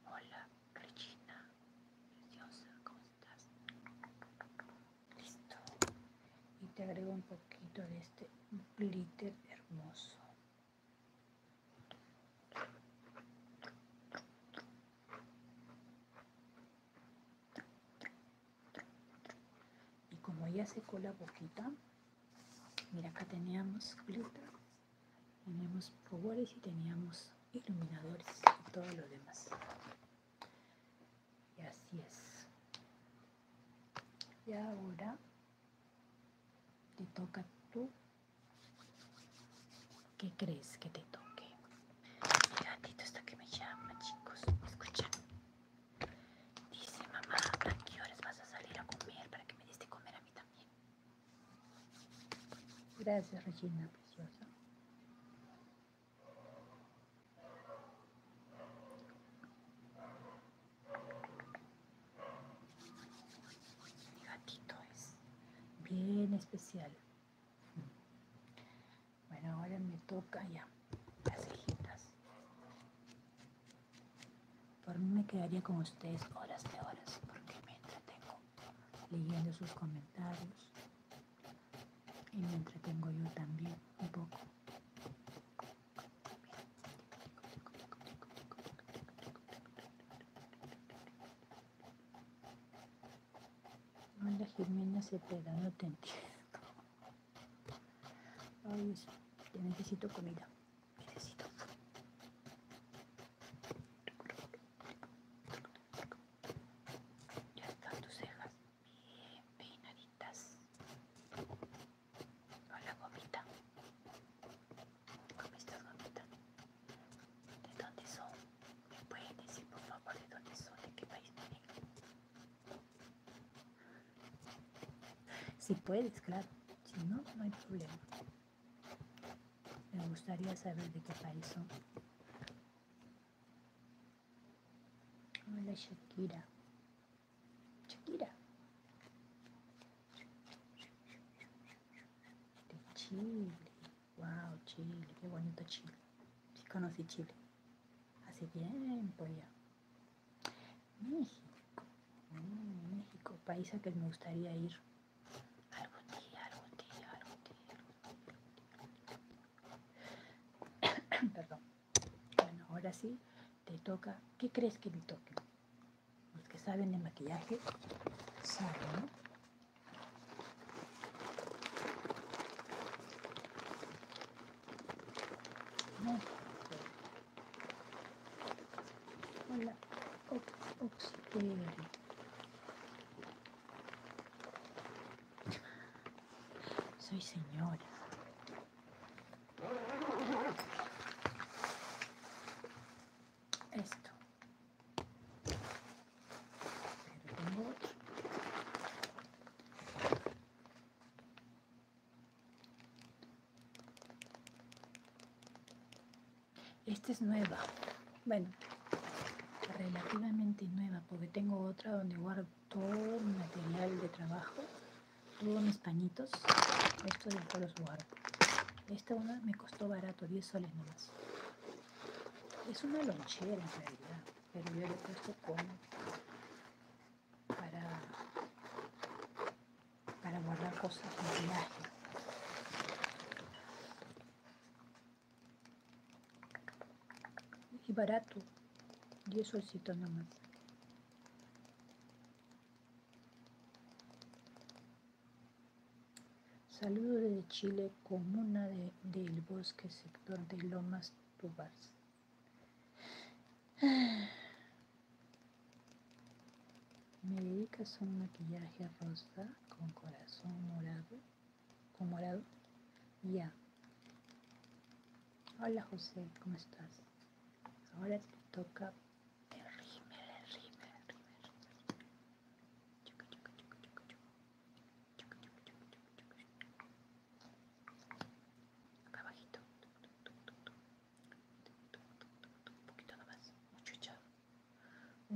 Hola, Regina, preciosa, ¿cómo estás? Listo. Y te agrego un poquito de este glitter hermoso. Y como ya secó la boquita, mira acá teníamos glitter teníamos power y teníamos iluminadores y todo lo demás. Y así es. Y ahora te toca tú. ¿Qué crees que te toque? Mi gatito está que me llama, chicos. escuchan Dice mamá, ¿a qué horas vas a salir a comer para que me diste comer a mí también? Gracias, Regina, preciosa. Mi gatito es bien especial. Bueno, ahora me toca ya las cejitas. Por mí me quedaría con ustedes horas de horas porque me entretengo leyendo sus comentarios y me entretengo yo también un poco. germina se pega no te entiendo. Ay, yo necesito comida. Necesito. Ya están tus cejas bien peinaditas. Con la gomita. ¿Cómo estas gomitas. ¿De dónde son? ¿Me puedes decir por favor de dónde son? ¿De qué país vienen? Si puedes, claro. Si no, no hay problema. Me gustaría saber de qué país son. Hola Shakira. Shakira. De Chile. Wow, Chile. Qué bonito Chile. Sí conocí Chile. Así Hace tiempo ya. México. Mm, México, país a que me gustaría ir. Algún día, Perdón. Bueno, ahora sí te toca. ¿Qué crees que me toque? Los que saben de maquillaje saben, ¿no? Eh. Soy señora. Esto. Esta es nueva. Bueno, relativamente nueva, porque tengo otra donde guardo todo mi material de trabajo, todos mis pañitos. Estos acá los guardo. Esta una me costó barato, 10 soles nomás. Es una lonchera en realidad, pero yo le puesto como para, para guardar cosas de viaje. Y barato. 10 solcitos nomás. Saludos desde Chile, comuna del bosque, sector de Lomas Tubars. Me dedicas a un maquillaje rosa con corazón morado. Como morado. Ya. Hola José, ¿cómo estás? Ahora te toca el rímel, rímel, rímel. Un poquito nomás. Mucho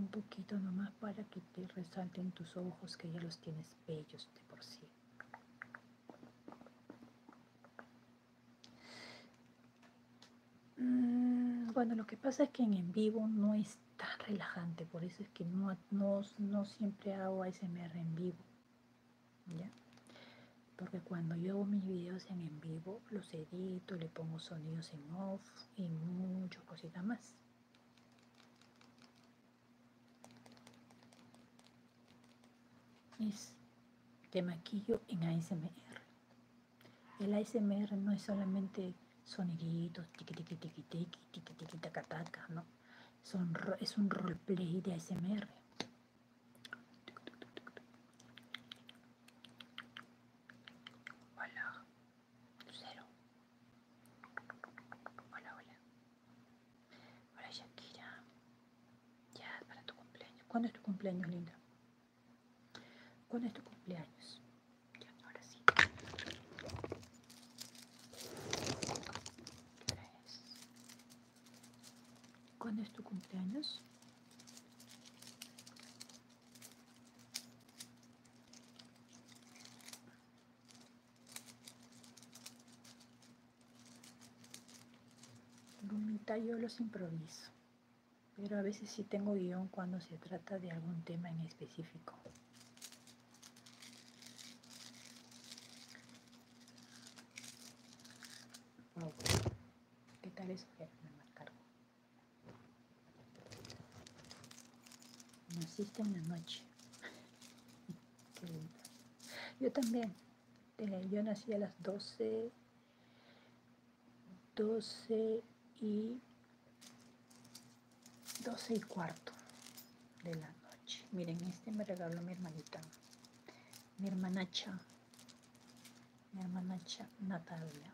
un poquito nomás para que te resalten tus ojos que ya los tienes bellos de por sí mm, bueno lo que pasa es que en, en vivo no es tan relajante por eso es que no, no, siempre hago ASMR en vivo porque cuando yo hago mis videos en en vivo los edito le pongo sonidos en off y muchas cositas más es de maquillo en ASMR. El ASMR no es solamente soniditos, Tiki-tiki-tiki-tiki tiki no. es un roleplay de ASMR. Cero Hola, hola. Hola, Shakira. Ya, para tu cumpleaños. ¿Cuándo es tu cumpleaños, linda? ¿Cuándo es tu cumpleaños? Ya, ahora sí. ¿Cuándo es tu cumpleaños? Lumita yo los improviso, pero a veces sí tengo guión cuando se trata de algún tema en específico. ¿Qué tal eso? me Naciste en la noche. Qué lindo. Yo también. Eh, yo nací a las 12, 12 y 12 y cuarto de la noche. Miren, este me regaló mi hermanita, mi hermanacha, mi hermanacha Natalia,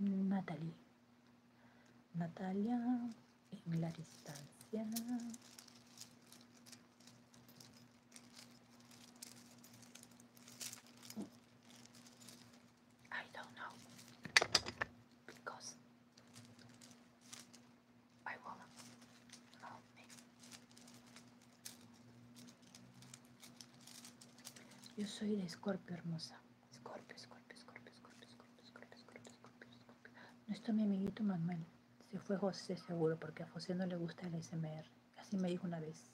Natalie. Natalia en la distancia. I don't know because I won't help me. Yo soy la Escorpio hermosa. Scorpio, Scorpio, Scorpio, Scorpio, Scorpio, Scorpio, Scorpio, No está mi amiguito Manuel. Se fue José seguro porque a José no le gusta el SMR. Así me dijo una vez.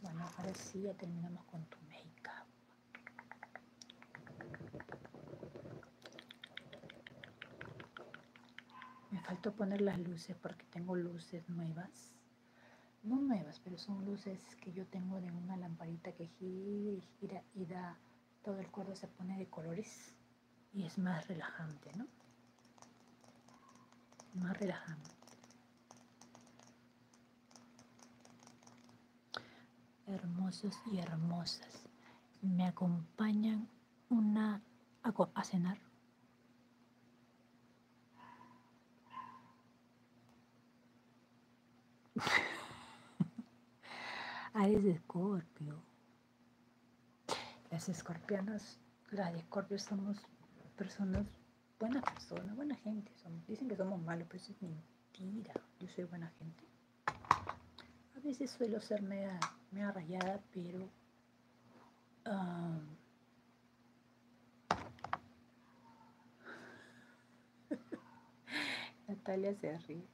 Bueno, ahora sí ya terminamos con tu make-up. Me faltó poner las luces porque tengo luces nuevas. No nuevas, pero son luces que yo tengo de una lamparita que gira y gira y da, todo el cuerpo se pone de colores y es más relajante, ¿no? Más relajante. Hermosos y hermosas, me acompañan una a cenar. Aries ah, de Escorpio. Las escorpianas, las de somos personas, buenas personas, buena gente. Dicen que somos malos, pero eso es mentira. Yo soy buena gente. A veces suelo ser media, rayada, pero ah, Natalia se ríe.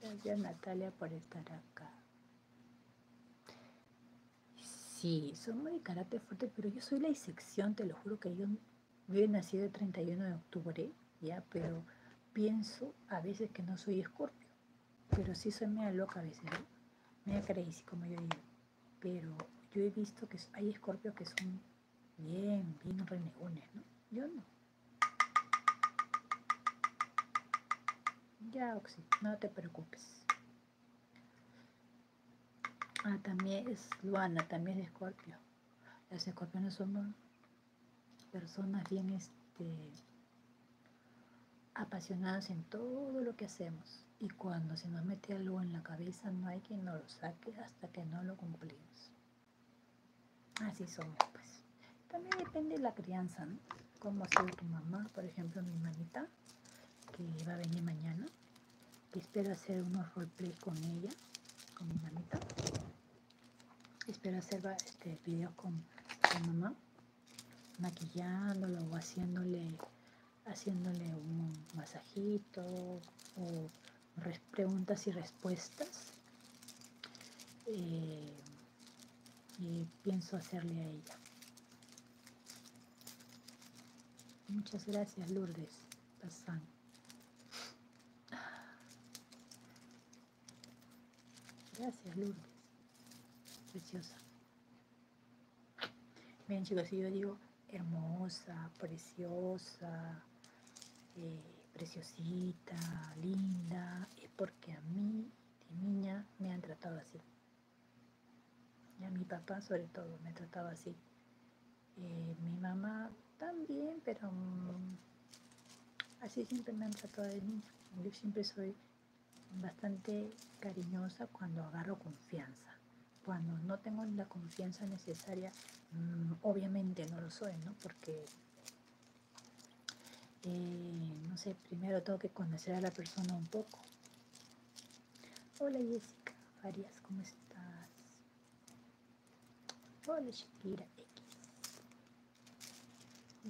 Gracias Natalia por estar acá. Sí, somos de carácter fuerte, pero yo soy la disección, te lo juro que yo, me he nacido el 31 de octubre, ya, pero pienso a veces que no soy escorpio, pero sí soy media loca a veces, me media crazy, como yo digo. Pero yo he visto que hay escorpios que son Bien, bien renegones, ¿no? Yo no. Ya, Oxy, no te preocupes. Ah, también es Luana, también es Escorpio. Los escorpiones somos personas bien este, apasionadas en todo lo que hacemos. Y cuando se nos mete algo en la cabeza, no hay quien nos lo saque hasta que no lo cumplimos. Así somos, pues. También depende de la crianza, ¿no? Como ha tu mamá, por ejemplo, mi mamita, que va a venir mañana, que espero hacer unos roleplay con ella, con mi mamita. Espero hacer este, videos con, mi mamá, maquillándola o haciéndole haciéndole un masajito o preguntas y respuestas. Eh, y pienso hacerle a ella. Muchas gracias, Lourdes Gracias, Lourdes. Preciosa. Miren, chicos, si yo digo hermosa, preciosa, eh, preciosita, linda, es porque a mí de niña me han tratado así. Y a mi papá sobre todo me trataba así. Eh, mi mamá también, pero mm, así siempre me han tratado de niña. Yo siempre soy bastante cariñosa cuando agarro confianza. Cuando no tengo la confianza necesaria Mm, obviamente no lo soy, ¿no? Porque, eh, no sé, primero tengo que conocer a la persona un poco. Hola Jessica Farías, ¿cómo estás? Hola Shakira X.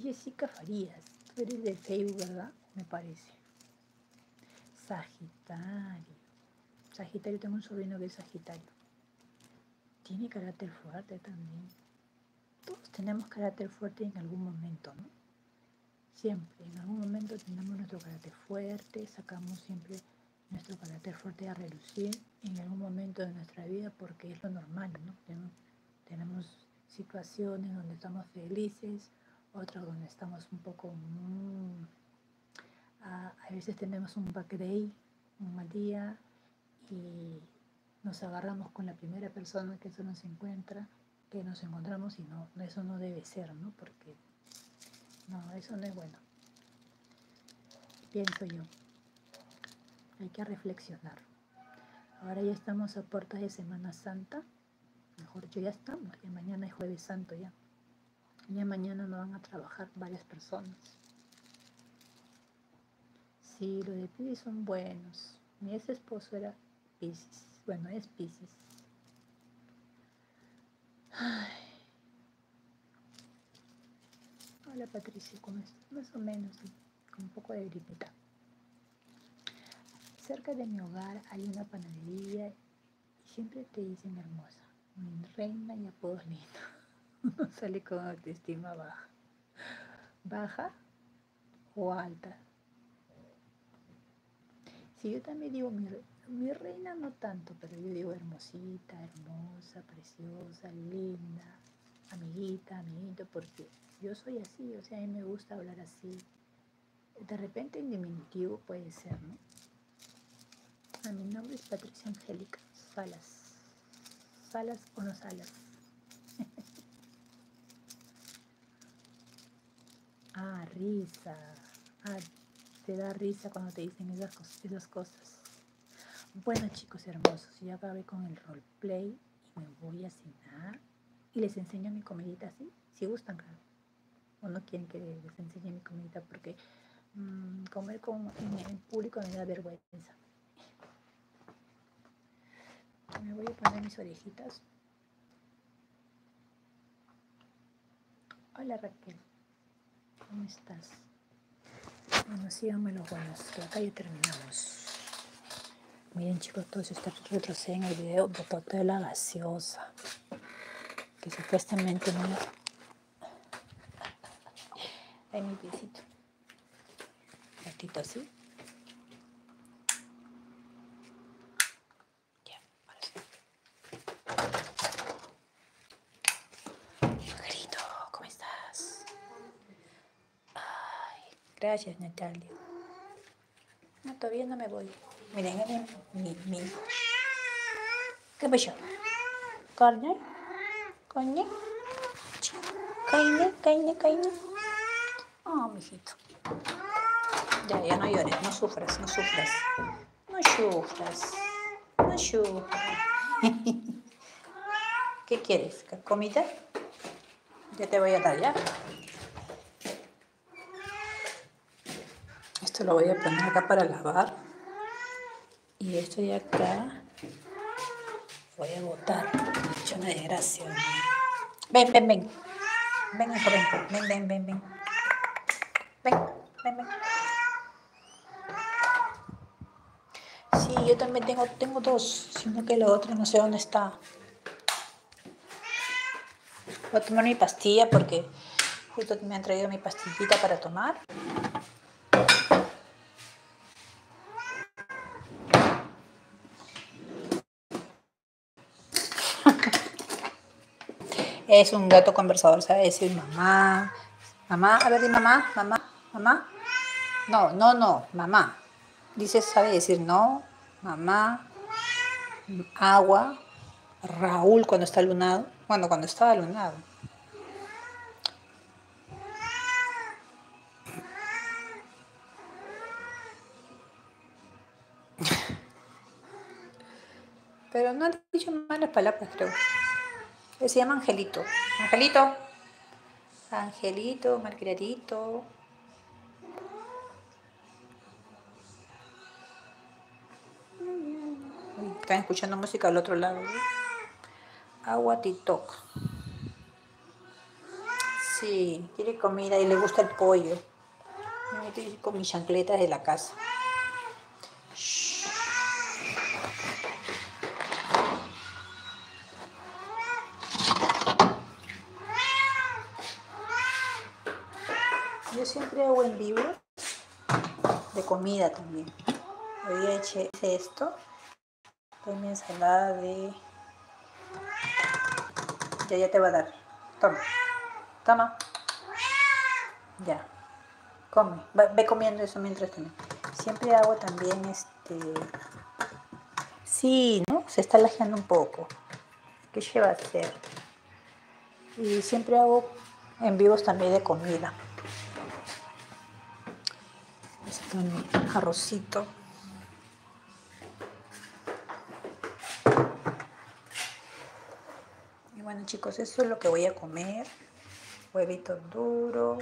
Jessica Farías, tú eres de Facebook, ¿verdad? Me parece. Sagitario. Sagitario, tengo un sobrino que es Sagitario. Tiene carácter fuerte también. Todos tenemos carácter fuerte en algún momento, ¿no? Siempre, en algún momento tenemos nuestro carácter fuerte, sacamos siempre nuestro carácter fuerte a relucir en algún momento de nuestra vida porque es lo normal, ¿no? Tenemos, situaciones donde estamos felices, otras donde estamos un poco... Mm, a, a veces tenemos un back day, un mal día y nos agarramos con la primera persona que eso nos encuentra, que nos encontramos y no, eso no debe ser, ¿no? Porque no, eso no es bueno. Pienso yo. Hay que reflexionar. Ahora ya estamos a puertas de Semana Santa. Mejor yo ya estamos, ya mañana es jueves santo ya. Ya mañana no van a trabajar varias personas. Sí, los de Pisces son buenos. Mi ex esposo era Pisces. Bueno, es Pisces. Hola Patricia, ¿cómo estás? Más o menos, con un poco de gripita. Cerca de mi hogar hay una panadería y siempre te dicen hermosa reina y apodo lindo. sale con autoestima baja. Baja o alta. Si yo también digo mi, mi, reina, no tanto, pero yo digo hermosita, hermosa, preciosa, linda, amiguita, amiguito, porque yo soy así, o sea, a mí me gusta hablar así. De repente en diminutivo puede ser, ¿no? A mi nombre es Patricia Angélica Salas. Salas o no salas. ah, risa. Ah, te da risa cuando te dicen esas, cosas. Bueno chicos hermosos, ya acabé con el roleplay y me voy a cenar y les enseño mi comidita así, si gustan, claro. O no quieren que les enseñe mi comidita porque mm, comer con, en público me da vergüenza. Me voy a poner mis orejitas. Hola Raquel, ¿cómo estás? Bueno, dame los buenos, que acá ya terminamos. Miren chicos, todos si ustedes retroceden el video, de de la gaseosa, que supuestamente no en mi piecito. Ratito así. Ya, ahora sí. Grito, ¿cómo estás? Ay, gracias Natalia. No, todavía no me voy. Miren, miren, mi, mi. ¿Qué Кабачок. carne Корни. Кайни, кайни, Oh, Ah, mijito. Ya, ya no llores, no sufres, no sufres. No sufres. No sufres. ¿Qué quieres? comité? Ya te voy a tallar Esto lo voy a poner acá para lavar y esto de acá voy a botar. hecho una desgracia. Ven, ven, ven. Ven, ven. Ven, ven, ven, ven. Ven, ven, ven. Sí, yo también tengo, tengo dos, sino que el otro no sé dónde está. Voy a tomar mi pastilla porque justo me han traído mi pastillita para tomar. es un gato conversador, sabe decir mamá, mamá, a ver, mamá, mamá, mamá. No, no, no, mamá. Dice, sabe decir no, mamá, agua, Raúl cuando está lunado bueno, cuando estaba lunado. Pero no han dicho malas palabras, creo. Eh, se llama Angelito. Angelito. Angelito, malcriadito. Están escuchando música al otro lado. ¿eh? Agua TikTok. Sí, quiere comida y le gusta el pollo. Me estoy con mis chancletas de la casa. Yo siempre hago el libro de comida también. Hoy eché esto Doy mi ensalada de... Ya, ya te va a dar. Toma. Toma. Ya. Come. ve comiendo eso mientras tiene Siempre hago también este... Sí, ¿no? Se está lajeando un poco. ¿Qué lleva a hacer? Y siempre hago en vivos también de comida. Esto mi arrocito. Y bueno chicos, eso es lo que voy a comer. Huevito duro.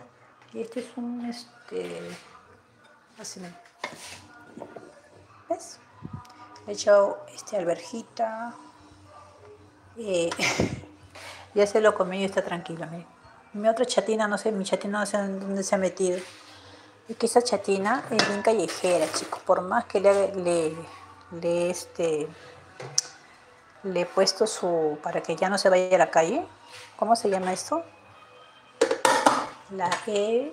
Y este es un este. Así ¿Ves? He echado este alberjita. y eh, ya se lo comí y está tranquilo, miren mi otra chatina, no sé, mi chatina no sé dónde se ha metido. Es que esa chatina es bien callejera, chicos. Por más que le, le, este, le he puesto su, para que ya no se vaya a la calle. ¿Cómo se llama esto? La he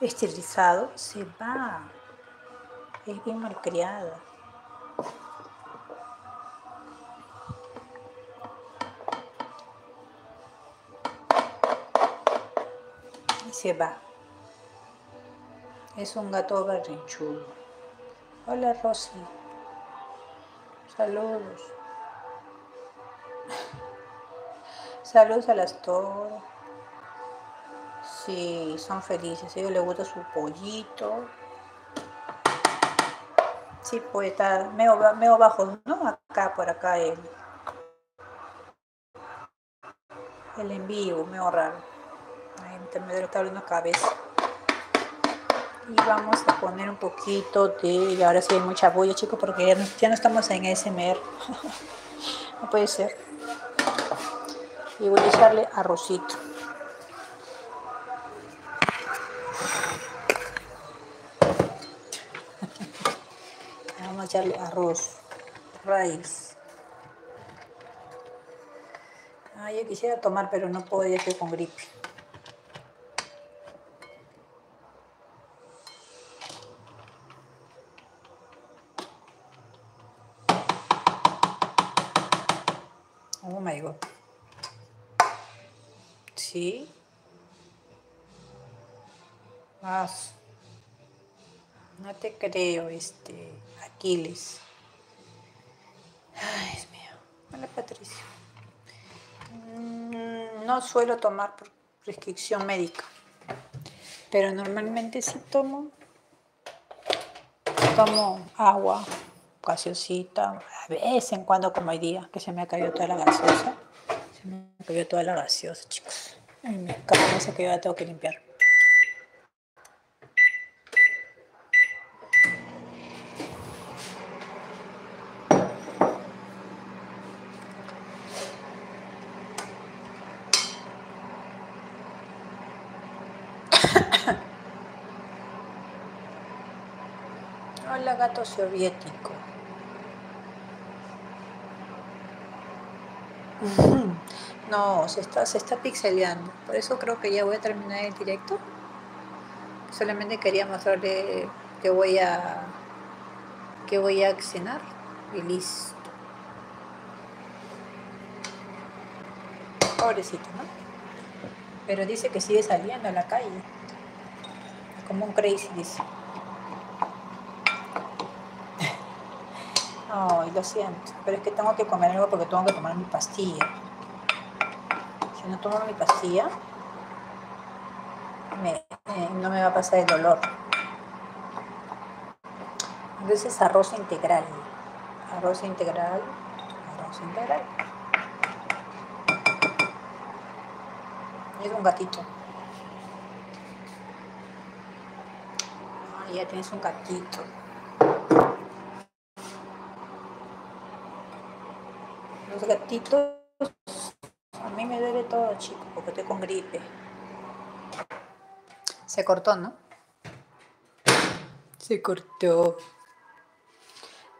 esterilizado. Se va. Es bien malcriada. Y se va. Es un gato barrinchudo. Hola Rosy. Saludos. Saludos a las todas. Si sí, son felices, a ellos les gusta su pollito, Sí, puede estar medio, medio bajo, ¿no? Acá, por acá el, el en vivo, medio raro. intermedio está cabeza. Y vamos a poner un poquito de, y ahora sí hay mucha bulla, chicos, porque ya no, estamos en SMR. no puede ser. Y voy a echarle arrocito. Vamos a echarle arroz, raíz. Ah, yo quisiera tomar, pero no puedo, ya estoy con gripe. Oh my god. Sí. Más. No te creo, este. Aquiles. Ay, es mío. Mm, no suelo tomar por prescripción médica, pero normalmente sí tomo Tomo agua, gaseosita, a veces en cuando como hay días que se me ha caído toda la gaseosa. Se me ha caído toda la gaseosa, chicos. me eso que yo la tengo que limpiar. Hola ah, gato soviético. No, se está, se está pixeleando. Por eso creo que ya voy a terminar el directo. Solamente quería mostrarle que voy a que voy a cenar y listo. Pobrecito, ¿no? pero dice que sigue saliendo a la calle. Como un crazy, dice. Ay, lo siento, pero es que tengo que comer algo porque tengo que tomar mi pastilla. Si no tomo mi pastilla, eh, no me va a pasar el dolor. Entonces, arroz integral arroz integral, arroz integral. Es un gatito. Ah, ya tienes un gatito. Los gatitos a mí me duele todo, chico, porque estoy con gripe. Se cortó, ¿no? Se cortó.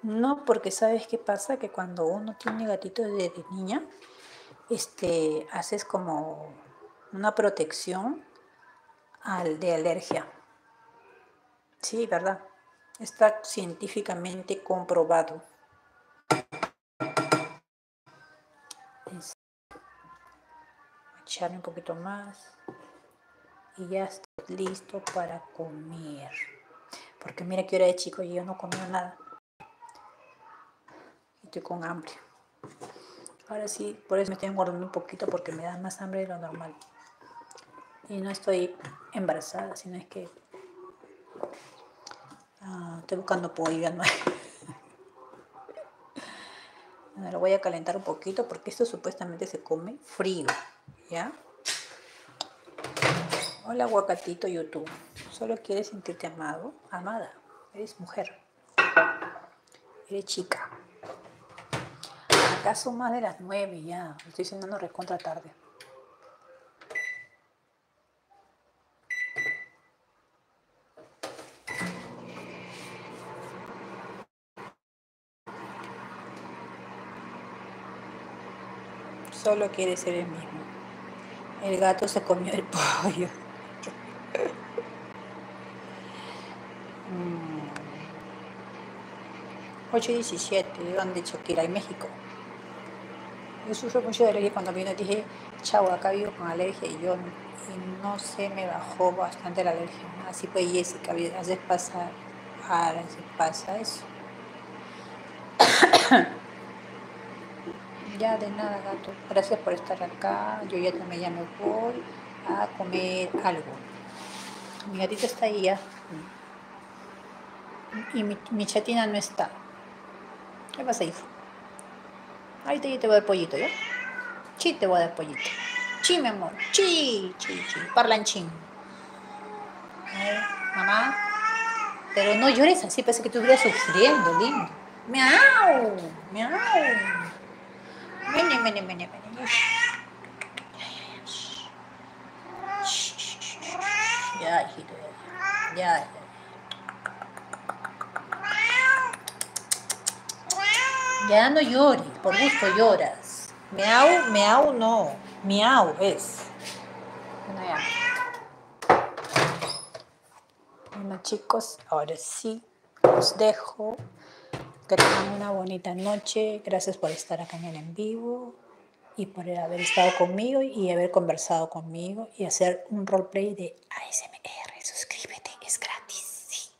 No, porque sabes qué pasa, que cuando uno tiene gatitos desde niña, este, haces como una protección al de alergia. Sí, ¿verdad? Está científicamente comprobado. Echarle un poquito más y ya estoy listo para comer. Porque mira que hora de chico y yo no comí nada. Estoy con hambre. Ahora sí, por eso me estoy engordando un poquito porque me da más hambre de lo normal. Y no estoy embarazada, sino es que ah, estoy buscando pollo ¿no? lo voy a calentar un poquito porque esto supuestamente se come frío. ¿Ya? Hola, guacatito YouTube. Solo quieres sentirte amado, amada. Eres mujer. Eres chica. Acá son más de las nueve ya. Estoy no recontra tarde. Solo quiere ser el mismo. El gato se comió el pollo. 8 mm. y 17, donde Choquila en México. Yo sufro mucho de alergia cuando vino dije, chau, acá vivo con alergia y yo no se me bajó bastante la alergia. Así pues Jessica, haces pasar a pasa eso. ya de nada, gato. Gracias por estar acá. Yo ya también ya me voy a comer algo. Mi gatito está ahí ya. Y mi, chatina no está. ¿Qué pasa, hijo? Ahorita te voy a dar pollito, ¿ya? Chi te voy a dar pollito. Chi, mi amor. Chi, chi, chi. ching mamá, pero no llores así, parece que estuvieras sufriendo, lindo. Miau, miau. ven, ven, ven, Ya, ya. Ya, ya. Ya no llores, por gusto lloras. Miau, miau no. Miau es. Bueno, ya. Bueno, chicos, ahora sí los dejo. Que tengan una bonita noche. Gracias por estar acá en el en vivo y por haber estado conmigo y haber conversado conmigo y hacer un roleplay de ASMR. Suscríbete, es gratis.